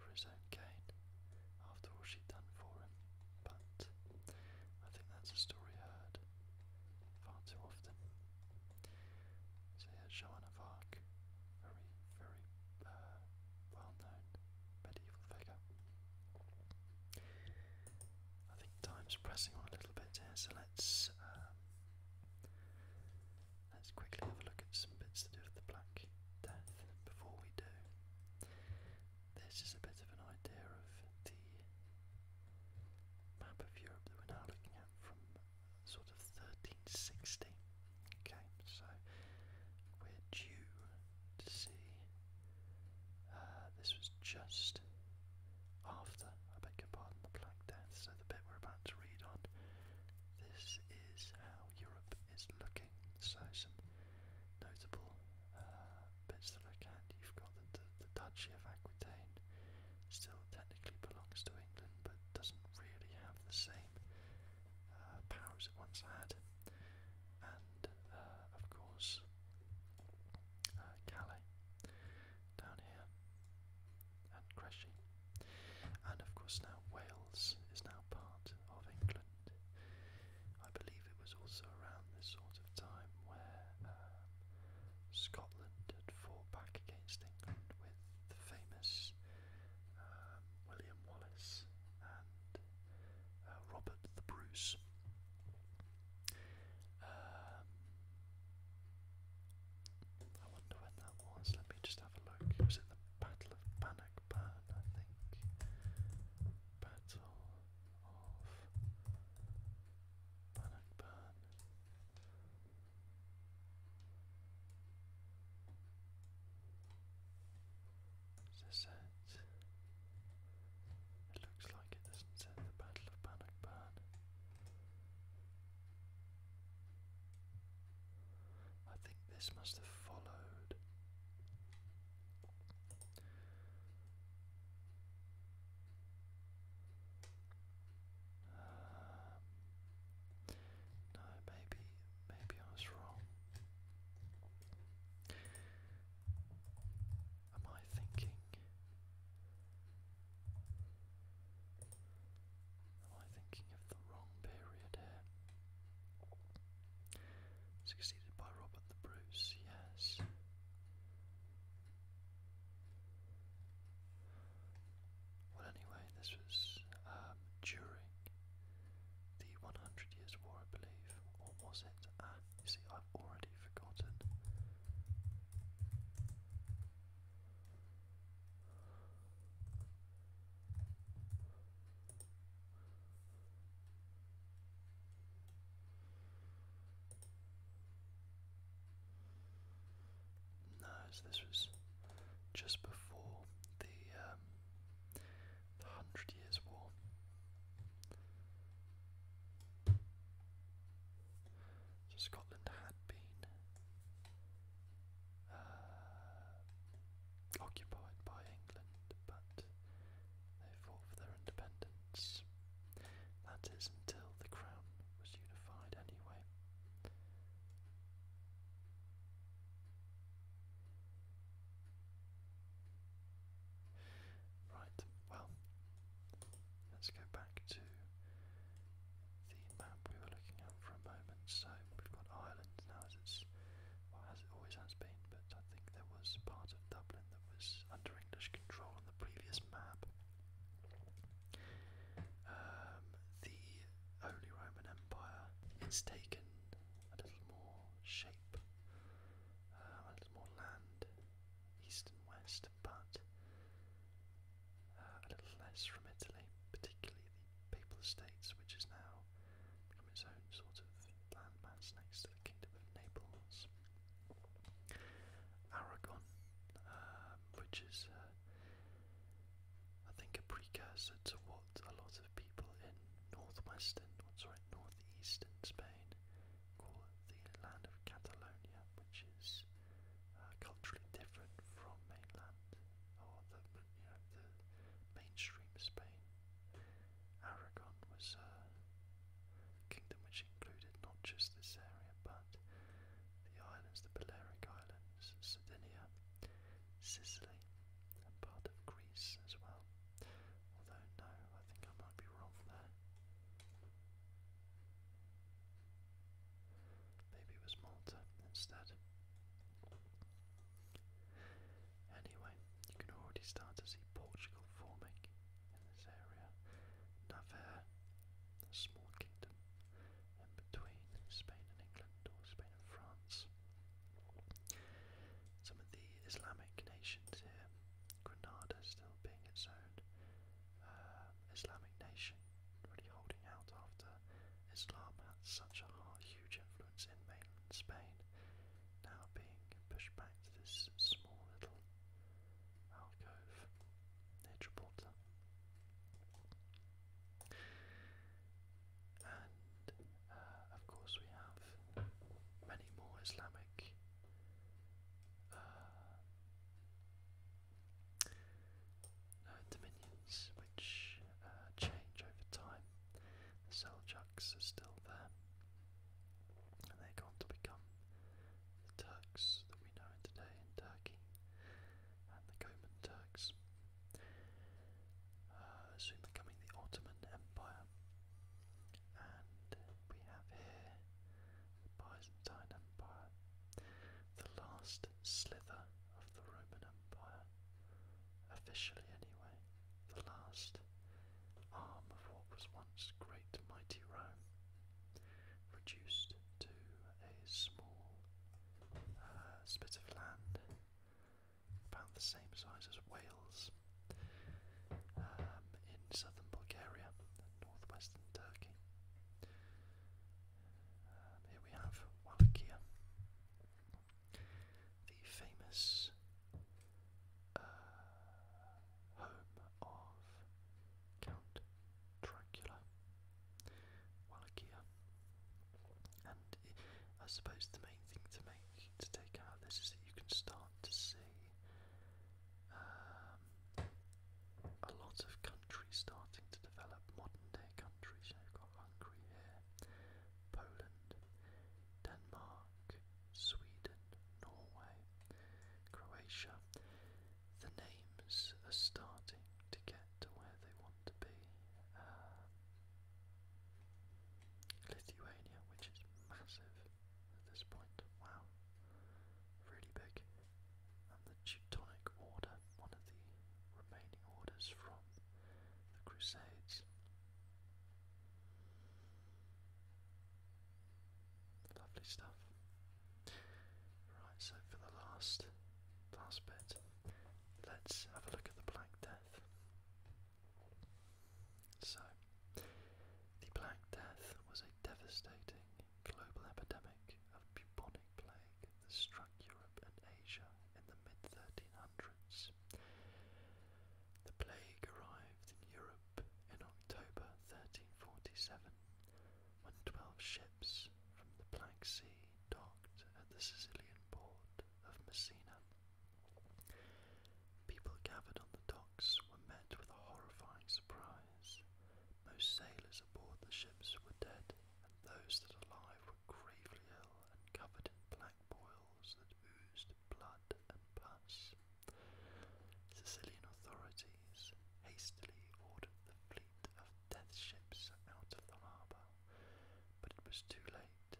for his own gain. After all she'd done for him, but I think that's a story heard far too often. So yeah, Joan of very, very uh, well-known medieval figure. I think time's pressing on a little bit here, so let's um, let's quickly have a look at some bits to do with the Black Death before we do. This is a bit of an idea of the map of Europe that we're now looking at from sort of 1360. Okay, so we're due to see. Uh, this was just after, I beg your pardon, the Black Death. So the bit we're about to read on, this is how Europe is looking. So some notable uh, bits to look at. You've got the Duchy of Aquitaine still technically belongs to England but doesn't really have the same uh, powers it once had. And uh, of course, uh, Calais down here and Crecy. And of course, now Wales is now part of England. I believe it was also around this sort time where um, Scotland had fought back against England with the famous um, William Wallace and uh, Robert the Bruce. Um, I wonder when that was. Let me just have a look. Was it the Battle of Bannockburn? I think. Battle of Bannockburn. Is this it? It looks like it doesn't say the Battle of Bannockburn. I think this must have followed. Um, no, maybe, maybe I was wrong. Am I thinking? Am I thinking of the wrong period here? Succeeded by Robert the Bruce, yes. Well, anyway, this was um, during the 100 Years' War, I believe, or was it? Ah, see, I've already forgotten. No, so this was just before the um, Hundred Years' War. Scotland had been uh, occupied by England, but they fought for their independence. That is, until the Crown was unified anyway. Right, well, let's go back to the map we were looking at for a moment. So we've got Ireland now as it's, as always has been, but I think there was part of Dublin that was under English control on the previous map. Um, the Holy Roman Empire, it's taken a little more shape, uh, a little more land, east and west, but uh, a little less from Italy, particularly the Papal States, which is now its own sort of landmass next to the Kingdom of Naples. Aragon, um, which is, uh, I think, a precursor to what a lot of people in northwestern, oh, sorry, northeastern Spain call the land of Catalonia, which is uh, culturally different from mainland or the, mainstream Spain. Aragon was uh, kingdom which included not just this area but the islands, the Balearic Islands, Sardinia, Sicily, and part of Greece as well. Although, no, I think I might be wrong there. Maybe it was Malta instead. Anyway, you can already start to see Portugal forming in this area. Navarre, a small kingdom and between Spain and England or Spain and France. Some of the Islamic nations here, Granada still being its own uh, Islamic nation, really holding out after Islam had such a hard, huge influence in mainland Spain, now being pushed back to this small little alcove near And uh, of course, we have many more Islamic uh, uh, dominions which change over time. The Seljuks are still there, and they're going to become the Turks that we know today in Turkey, and the Koman Turks, uh, soon becoming the Ottoman Empire. And we have here the Byzantine Empire, the last slither of the Roman Empire, officially anyway, the last arm of what was once great mighty Rome reduced to a small uh, spit of land about the same size as Wales um, in southern Bulgaria and northwestern Turkey. Um, here we have Wallachia, the famous uh, home of Count Dracula, Wallachia. And I suppose the main thing to make to take out of this is that you can start to see um, a lot of countries starting to develop modern day countries. You you've got Hungary here, Poland, Denmark, Sweden, Norway, Croatia the names are starting to get to where they want to be. Uh, Lithuania, which is massive at this point, wow, really big. And the Teutonic Order, one of the remaining orders from the Crusades. Lovely stuff. Right, so for the last last bit, let's have a look at the Black Death. So, the Black Death was a devastating global epidemic of bubonic plague that struck Europe and Asia in the mid 1300s. The plague arrived in Europe in October 1347 when twelve ships from the Black Sea docked at the Sicilian port of Messina. People gathered on the docks were met with a horrifying surprise. Most sailors aboard the ships were dead, and those that alive were gravely ill and covered in black boils that oozed blood and pus. Sicilian authorities hastily ordered the fleet of death ships out of the harbour, but it was too late.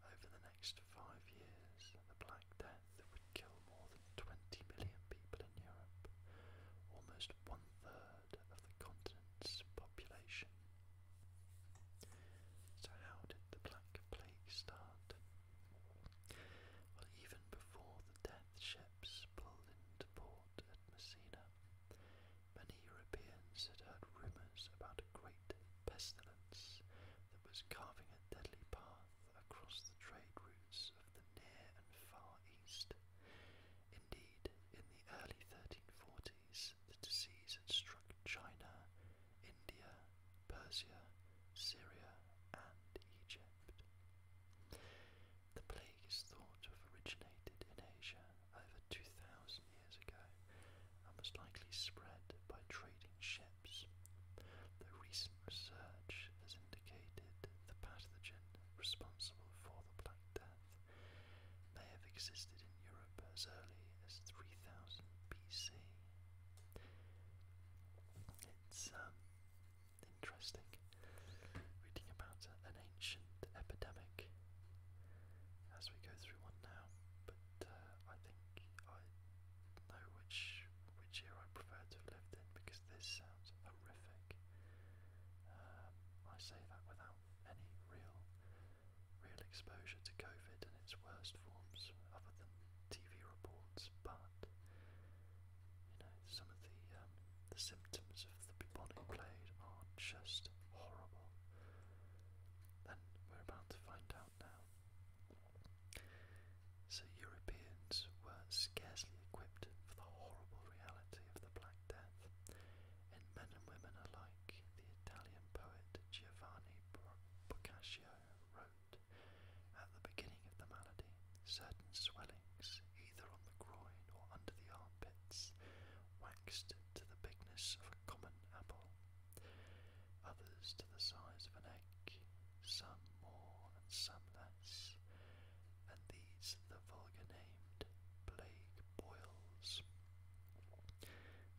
Over the next five years, the Black Death would kill more than 20 million people in Europe, almost one third of the continent's population. So, how did the Black Plague start? Well, even before the death ships pulled into port, at Messina, many Europeans had heard rumours about a great pestilence that was carving a deadly path across the trade routes of the Near and Far East. Indeed, in the early 1340s, the disease had struck China, India, Persia, Syria, and Egypt. The plague is thought to have originated in Asia over 2,000 years ago and most likely spread by trading ships, The recent research has indicated the pathogen responsible for the Black Death may have existed in Europe as early as 3000 BC. It's um, interesting. Reading about uh, an ancient epidemic as we go through one now, but uh, I think I know which which year I prefer to have lived in because this sounds horrific. Um, I say that without any real real exposure to COVID and its worst forms, other than TV reports, but you know, some of the um, the symptoms of the bubonic plague are just horrible, and we're about to find out now. So Europeans were scarcely equipped for the horrible reality of the Black Death, and men and women alike, the Italian poet Giovanni Boccaccio wrote at the beginning of the malady Certain swellings, either on the groin or under the armpits, waxed to the bigness of a common apple, others to the size of an egg, some more and some less, and these the vulgar named plague boils.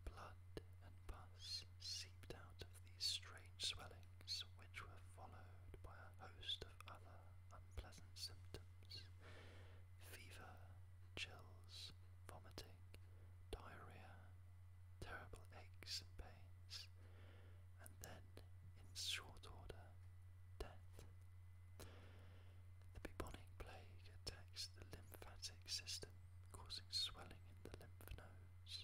Blood and pus seeped out of these strange swellings, which were followed by a host other unpleasant symptoms fever, chills, vomiting, diarrhea, terrible aches and pains, and then, in short order, death. The bubonic plague attacks the lymphatic system, causing swelling in the lymph nodes.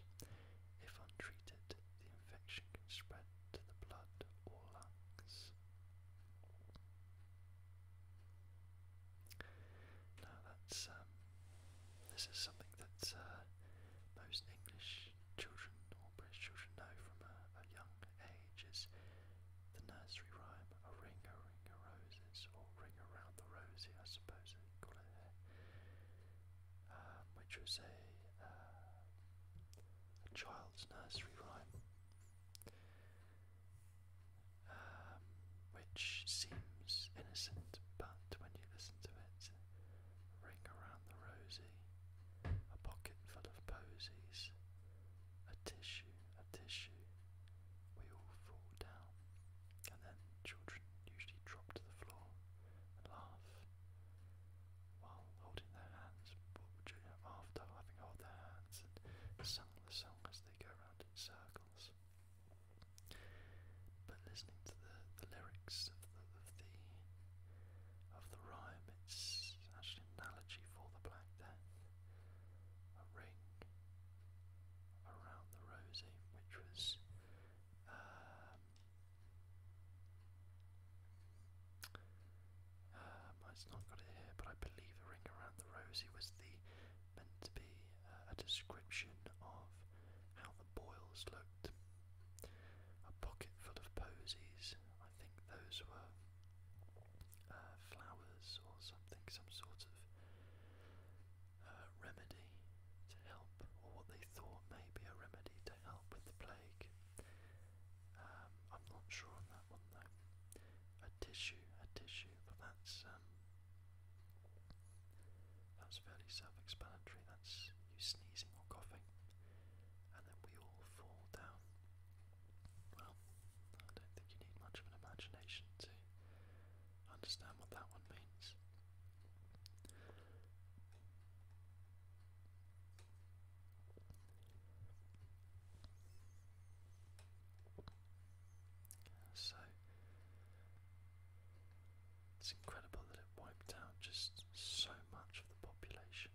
If untreated, the infection can spread to the blood or lungs. Now that's um, this is something that uh, most English children or British children know from a, young age is the nursery rhyme, a ring, a ring of roses, or ring around the rosy, I suppose call it um, which was uh, a child's nursery rhyme um, which seems innocent, but when you listen to it, ring around the rosy, a pocket full of posies, a tissue, a tissue, we all fall down, and then children usually drop to the floor and laugh while holding their hands, after having held their hands and sung the song as they go around in circles. But listening to the, the lyrics of the, of the rhyme, it's actually an analogy for the Black Death. A ring around the rosy, which was um, um, it's not got it here, but I believe a ring around the rosy was the meant to be uh, a description of how the boils looked. A pocket full of posies. I think those were uh, flowers or something, some sort of uh, remedy to help, or what they thought may be a remedy to help with the plague. Um, I'm not sure on a tissue, a tissue, but that's um, that's fairly self-explanatory. That's you sneezing or coughing, and then we all fall down. Well, I don't think you need much of an imagination to understand what that one means. So it's incredible that it wiped out just so much of the population.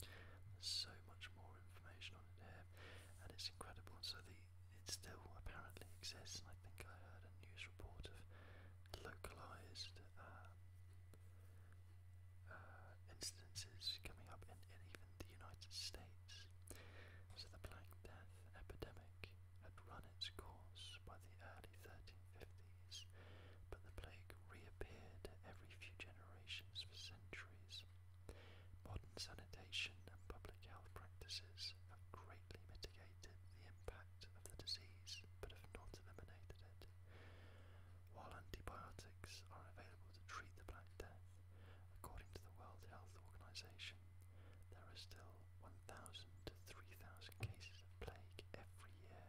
There's so much more information on it here, and it's incredible. So the it still apparently exists, I think I heard a news report of localized uh, uh, instances coming up in, in even the United States. So the Black Death epidemic had run its course by the early 1350s, but the plague reappeared every few generations for centuries. Modern sanitation and public health practices have greatly mitigated the impact of the disease, but have not eliminated it. While antibiotics are available to treat the Black Death, according to the World Health Organization, there are still 1,000 to 3,000 cases of plague every year.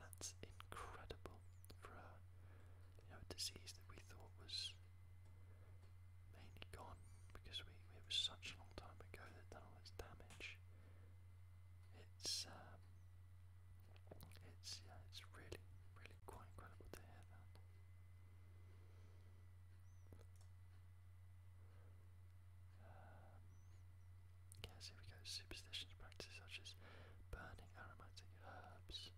That's incredible for a, disease that we thought was mainly gone because it was such a long time ago that done all its damage. Um, it's yeah, it's really, really quite incredible to hear that. Um, yes, here we go. Superstitious practices such as burning aromatic herbs,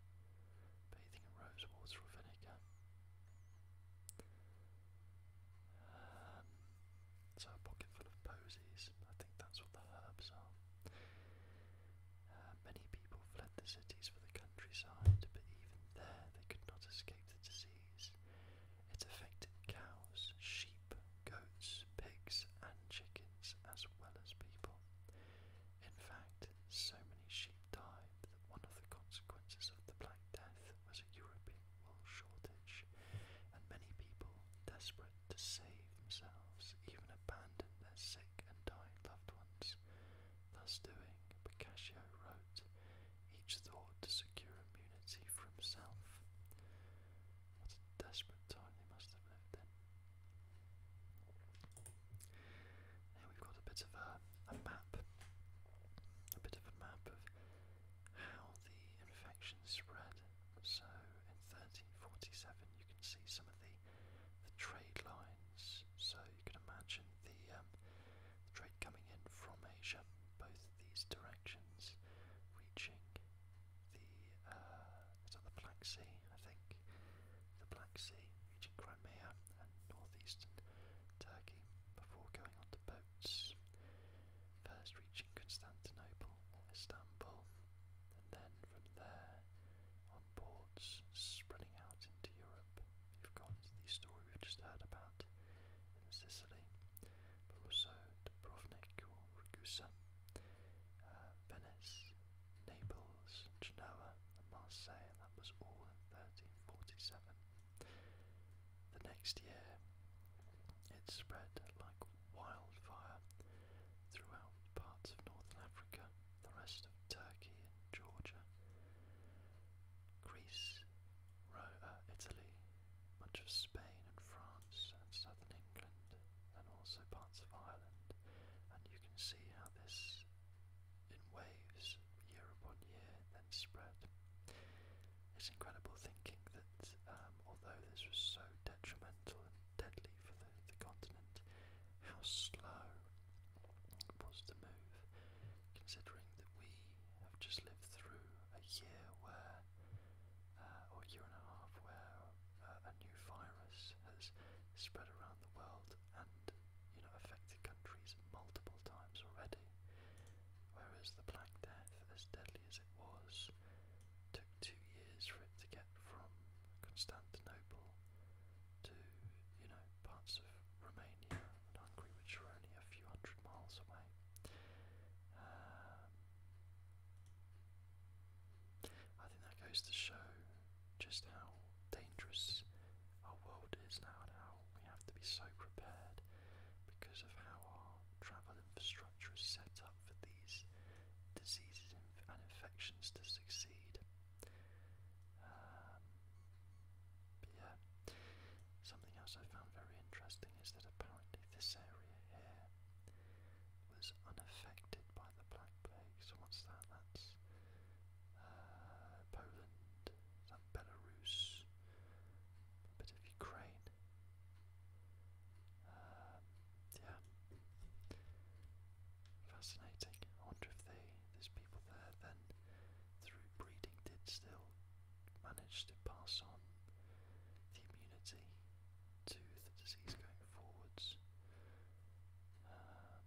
bathing in rose water or vinegar. Um, so a pocket full of posies. I think that's what the herbs are. Um, many people fled the cities for the countryside, but even there they could not escape the disease. It affected cows, sheep, goats, pigs, and chickens, as well as people. In fact, so many sheep died that one of the consequences of the Black Death was a European wool shortage, and many people, desperate to save themselves, even abandon their sick and dying loved ones. Thus doing, Boccaccio wrote each thought to secure immunity for himself. What a desperate time they must have lived in. Now we've got a bit of a map, a bit of a map of how the infection spread. So in 1347, you can see some of the the trade lines. So you can imagine the, um, the trade coming in from Asia, both these directions, reaching the uh, is that the Black Sea, I think, the Black Sea, reaching Crimea and northeastern Turkey before going on to boats. First reaching Constantinople or Istanbul, and then from there on boards spreading out into Europe. You've got the story we've just heard about in Sicily, but also Dubrovnik or Ragusa, uh, Venice, Naples, Genoa, and Marseille, and that was all in 1347. The next year, it spread like wildfire throughout parts of northern Africa the rest of Turkey and Georgia, Greece, Rome, uh, Italy, much of Spain and France and southern England, and also parts of Ireland. And you can see how this, in waves, year upon year, then spread. It's incredible thinking that um, although this was so detrimental and deadly for the continent, how slow was the move, considering that we have just lived through a year where, uh, or a year and a half, where uh, a new virus has spread around the world and you know affected countries multiple times already. Whereas the Black Death, as deadly as it was, took two years for it to get get from Constantinople to, you know, parts of Romania and Hungary, which are only a few hundred miles away. Um, I think that goes to show just how dangerous our world is now and how we have to be so prepared because of how our travel infrastructure is set up for these diseases and infections to succeed. Um, but yeah, something else I found very interesting is that apparently this area here was unaffected by the Black Plague. So what's that? That's uh, Poland, that Belarus, a bit of Ukraine. Um, yeah, fascinating. I wonder if they, there's people there then, through breeding, did still manage to pass on the immunity to the disease going forwards. Um,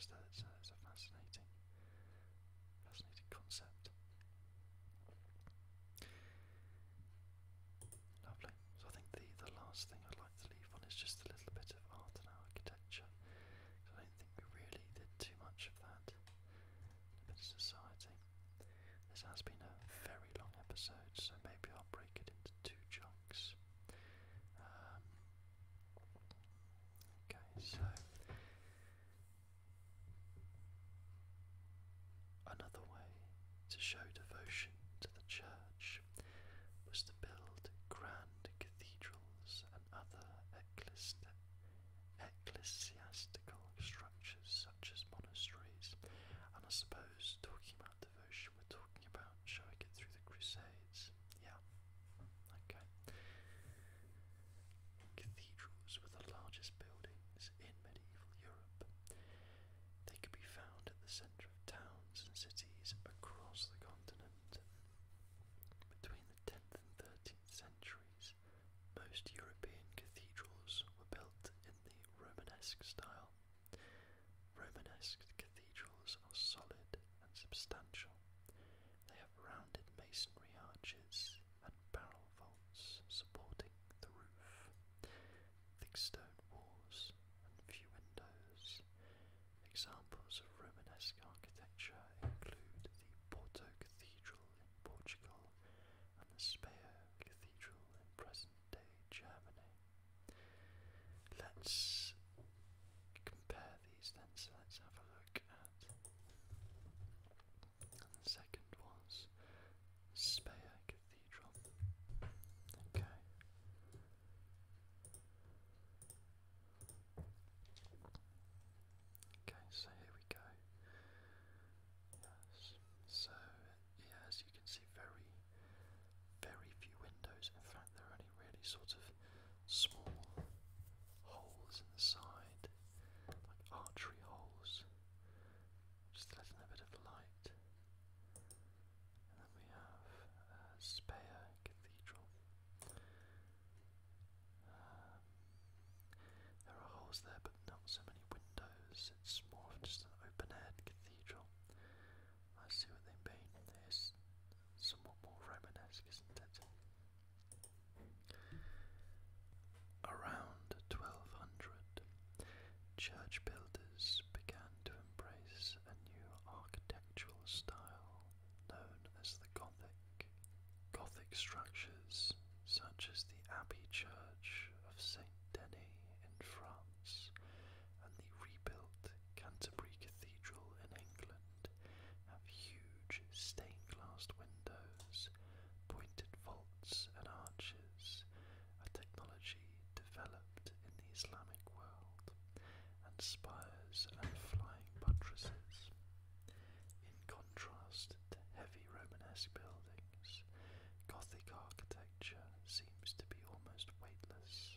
so it's a, it's a fascinating, fascinating concept. Lovely. So I think the the last thing I'd to leave on is just a little bit of art and architecture. I don't think we really did too much of that in society. This has been a very long episode, so maybe I'll break it into two chunks. Um, okay, so another way to show devotion to the church was to build grand cathedrals and other ecclesiastical structures such as monasteries. And I suppose talking about devotion, we're talking about showing it through the Crusades. Yeah, okay. Cathedrals were the largest buildings in medieval Europe. They could be found at the of towns and cities across the continent. Between the 10th and 13th centuries, most European cathedrals were built in the Romanesque style. Romanesque cathedrals are solid and substantial. They have rounded masonry arches and barrel vaults supporting the roof, thick stone walls, and few windows. Examples of Romanesque architecture include the Porto Cathedral in Portugal and the Speyer Cathedral in present-day Germany. Let's compare these then, so let's have a look at the second one: Speyer Cathedral. Okay, Okay, so here we go. Yes. So, yeah, as you can see, very, very few windows. In fact, there are only really sort of small holes in like archery holes, just letting a bit of light and then we have uh, Speyer Cathedral. Um, there are holes there, but not so many windows. It's more of just an open-air cathedral. I see what they mean. It's somewhat more Romanesque, isn't it? Around 1200, church builders began to embrace a new architectural style known as the Gothic. Gothic structures, such as the Abbey Church of St. Denis in France and the rebuilt Canterbury Cathedral in England, have huge stained glass windows, pointed vaults, and arches, a technology developed in Islamic world, and spires and flying buttresses. In contrast to heavy Romanesque buildings, Gothic architecture seems to be almost weightless.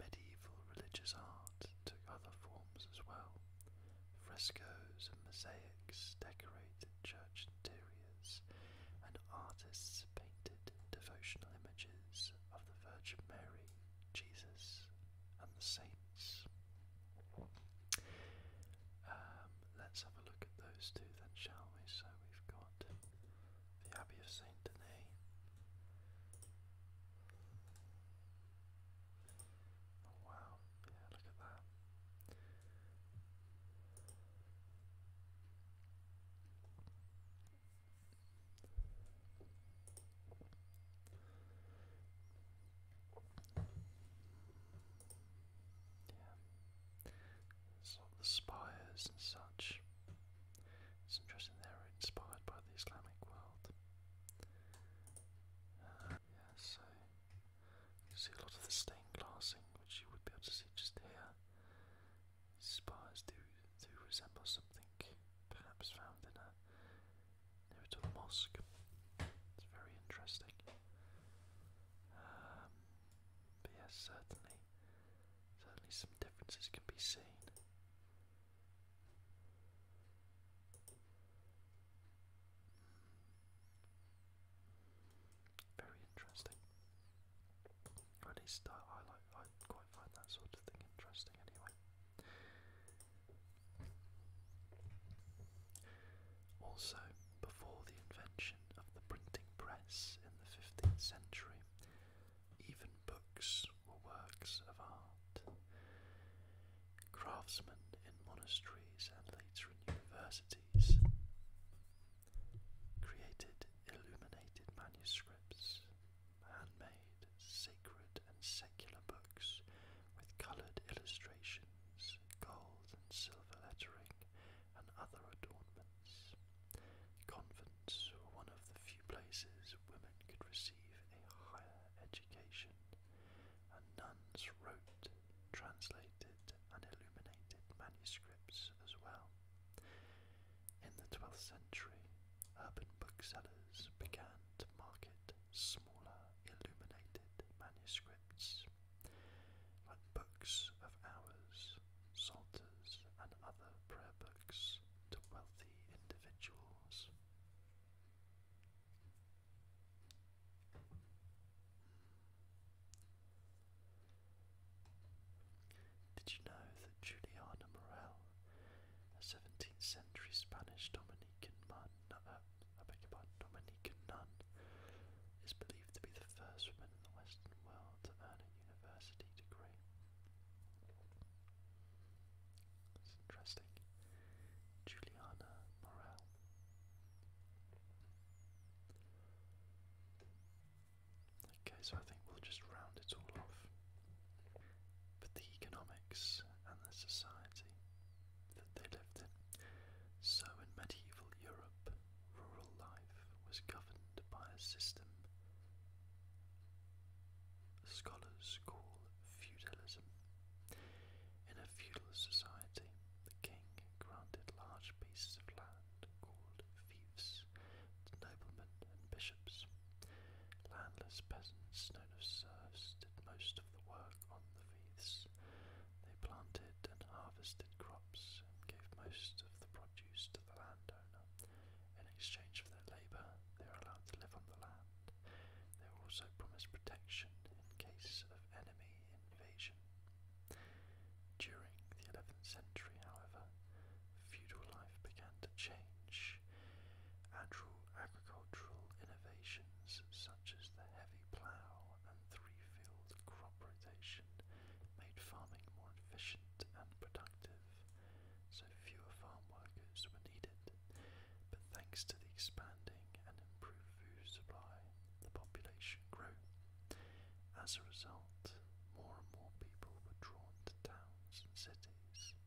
Medieval religious art took other forms as well. Frescoes and mosaics decorated church interiors, and artists painted devotional images of the Virgin Mary Jesus and the saints. Um, let's have a look at those two then, shall we? So we've got the Abbey of Saint Denis. Oh, wow, yeah, look at that. Yeah. So the spires and such. It's interesting they were inspired by the Islamic world. Uh, yeah, so you see a lot of the stained glassing, which you would be able to see just here. Spars do do resemble something perhaps found in a near mosque. It's very interesting. Um, but yes, certainly, certainly some differences can be seen. Hmm. Very interesting. I quite find that sort of thing interesting anyway. Also, before the invention of the printing press in the 15th century, even books were works of art. Craftsmen in monasteries and later in universities created illuminated manuscripts handmade sacred and secular books with coloured illustrations, gold and silver lettering, and other adornments. Convents were one of the few places women could receive a higher education, and nuns wrote, translated, and illuminated manuscripts as well. In the 12th century, urban booksellers began to market smaller illuminated manuscripts, like books of hours, psalters, and other prayer books to wealthy individuals. Did you know that Juliana Morel a 17th century Spanish uh, Dominican nun, is believed to be the first woman in the Western world to earn a university degree. That's interesting. Juliana Morel. Okay, so I think we'll just round it all off. But the economics and the society that they lived in. So in medieval Europe, rural life was governed by a system scholars call feudalism. In a feudal society, the king granted large pieces of land called fiefs to noblemen and bishops bishops. Landless peasants known as serfs did most of the work on the fields. They planted and harvested crops and gave most of the produce to the landowner. In exchange for their labour, they were allowed to live on the land. They were also promised protection in case of enemy invasion. During the 11th century, however, feudal life began to change agricultural innovations such as the heavy plough and three-field crop rotation made farming more efficient and productive, so fewer farm workers were needed. But thanks to the expanding and improved food supply, the population grew. As a result, more and more people were drawn to towns and cities,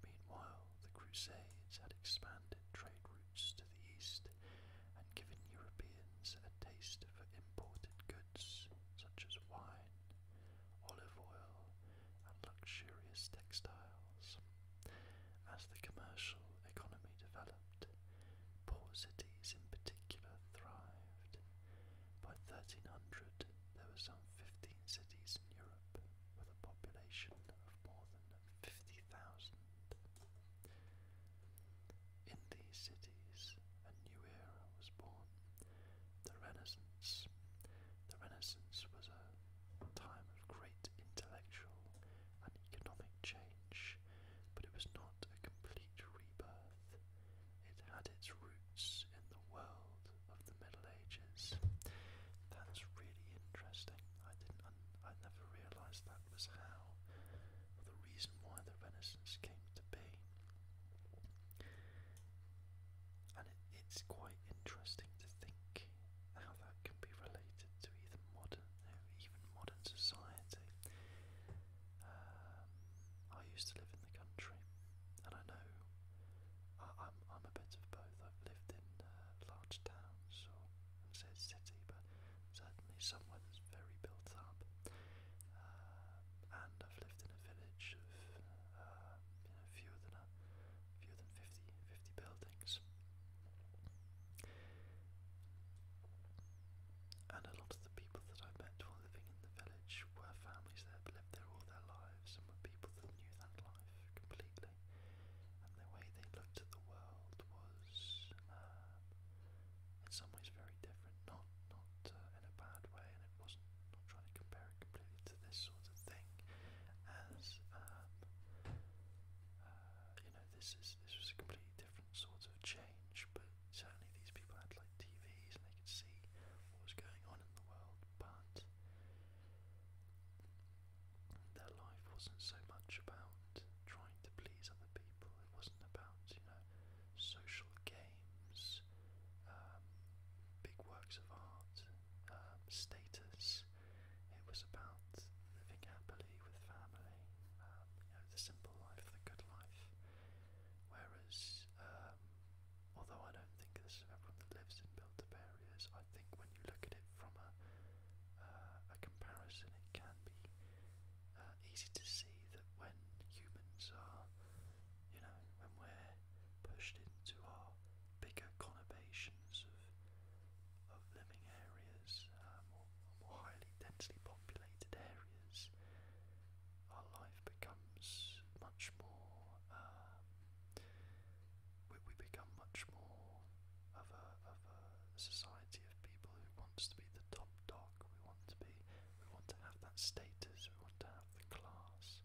Meanwhile, the Crusades had expanded trade routes to the east and given Europeans a taste for imported goods such as wine, olive oil, and luxurious textiles. As the commercial economy developed, poor cities in particular thrived. By 1300, there were some 15 cities in Europe with a population of more than 50,000. In these cities, a new era was born, the Renaissance. The Renaissance was a time of great intellectual and economic change, but it was not a complete rebirth. It had its roots in the world of the Middle Ages. That's really interesting. I didn't, I never realised that was how, or the reason why the Renaissance came to be. And it, it's quite interesting to think how that can be related to either modern, even modern society. Um, I used to live in the country, and I know I, I'm I'm a bit of both. I've lived in uh, large towns or and said city, but certainly somewhere that's very built up. Um, and I've lived in a village of uh, you know fewer than a, fewer than 50, 50 buildings. And a lot of the people that I met while living in the village were families that had lived there all their lives lives and were people that knew that life completely. And the way they looked at the world was, uh, in some ways, very different. Not, not uh, in a bad way, and it wasn't. Not trying to compare it completely to this sort of thing, as um, uh, you know, this is this was a completely different sort of change. But certainly, these people had like TVs and they could see what was going on in the world. But their life wasn't so much about trying to please other people, it wasn't about, you know, social games, um, big works of art, um, status. It was about living happily with family, um, you know, the simple life, the good life. Whereas um, although I don't think this is everyone that lives in built-up areas, I think when you look at it from a, uh, a comparison, it can be uh, easy to see that when humans are, you know, when we're pushed into our bigger conurbations of, of living areas, um, uh, or more highly densely populated areas, our life becomes much more um, we, we become much more of a, of a society of people who wants to be the top dog. We want to be, we want to have that status. We want to have the class.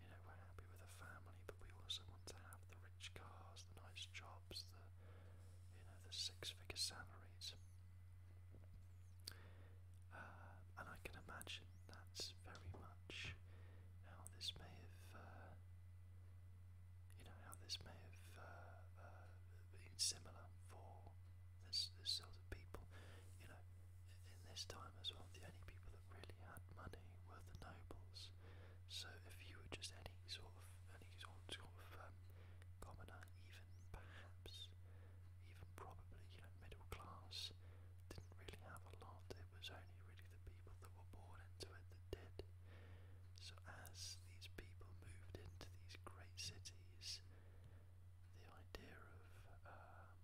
You know, we're happy with a family, but we also want to have the rich cars, the nice jobs, the you know, the six-figure salaries. Uh, and I can imagine that's very much how this may have, uh, you know, how this may have uh, uh, been similar for this, this sort of people. You know, in this time as well, the only people that really had money were the nobles. So if you were just any sort of, any sort of, sort of um, commoner, even perhaps, even probably, you know, middle class, didn't really have a lot it was only really the people that were born into it that did. So, as these people moved into these great cities, the idea of, um,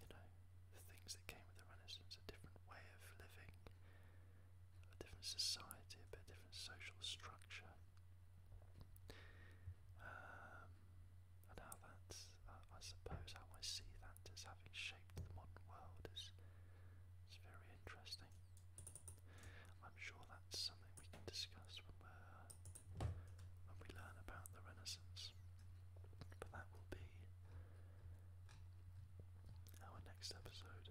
you know, the things that came with the Renaissance, a different way of living, a different society, a bit different social structure. Um, and how that's, uh, I suppose, how I see that as having shaped the modern world is, is very interesting. I'm sure that's something we can discuss when, we're, when we learn about the Renaissance. But that will be our next episode.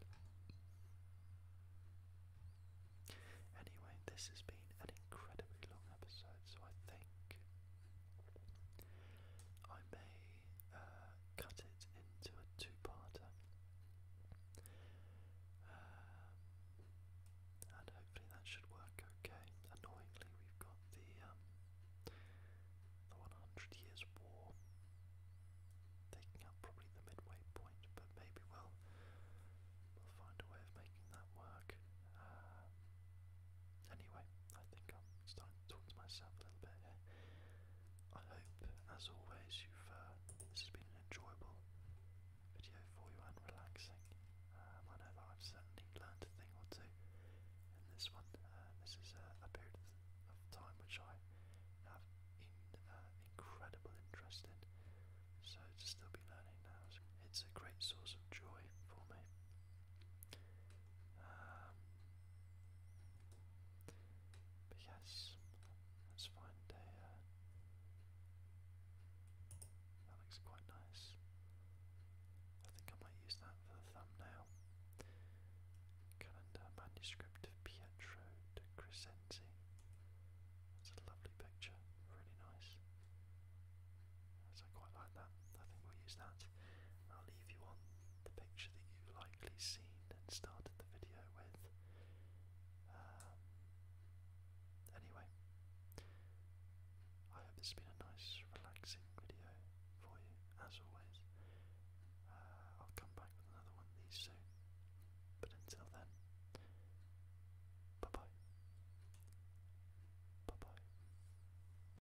Anyway, this has been an incredibly long episode, so I think I may uh, cut it into a two-parter, um, and hopefully that should work okay. Annoyingly, we've got the um, the 100 Years' War taking up probably the midway point, but maybe we we'll find a way of making that work. Uh, Anyway, I think I'm starting to talk to myself a little bit I hope, as always, you've uh, this has been an enjoyable video for you and relaxing. Um, I know that I've certainly learned a thing or two in this one. Uh, this is a period of time which I have uh, incredible interest in, so to still be learning it's a great source of joy for me. Um, but yes, let's uh, that looks quite nice. I think I might use that for the thumbnail. Calendar manuscript of Pietro de Crescenzi. That's a lovely picture, really nice. So I quite like that. I think we'll use that. I'll leave you on the picture that you likely seen and started the video with. Um, anyway, I hope this has been a nice, relaxing video for you, as always. Uh, I'll come back with another one these soon. But until then, bye bye. Bye bye.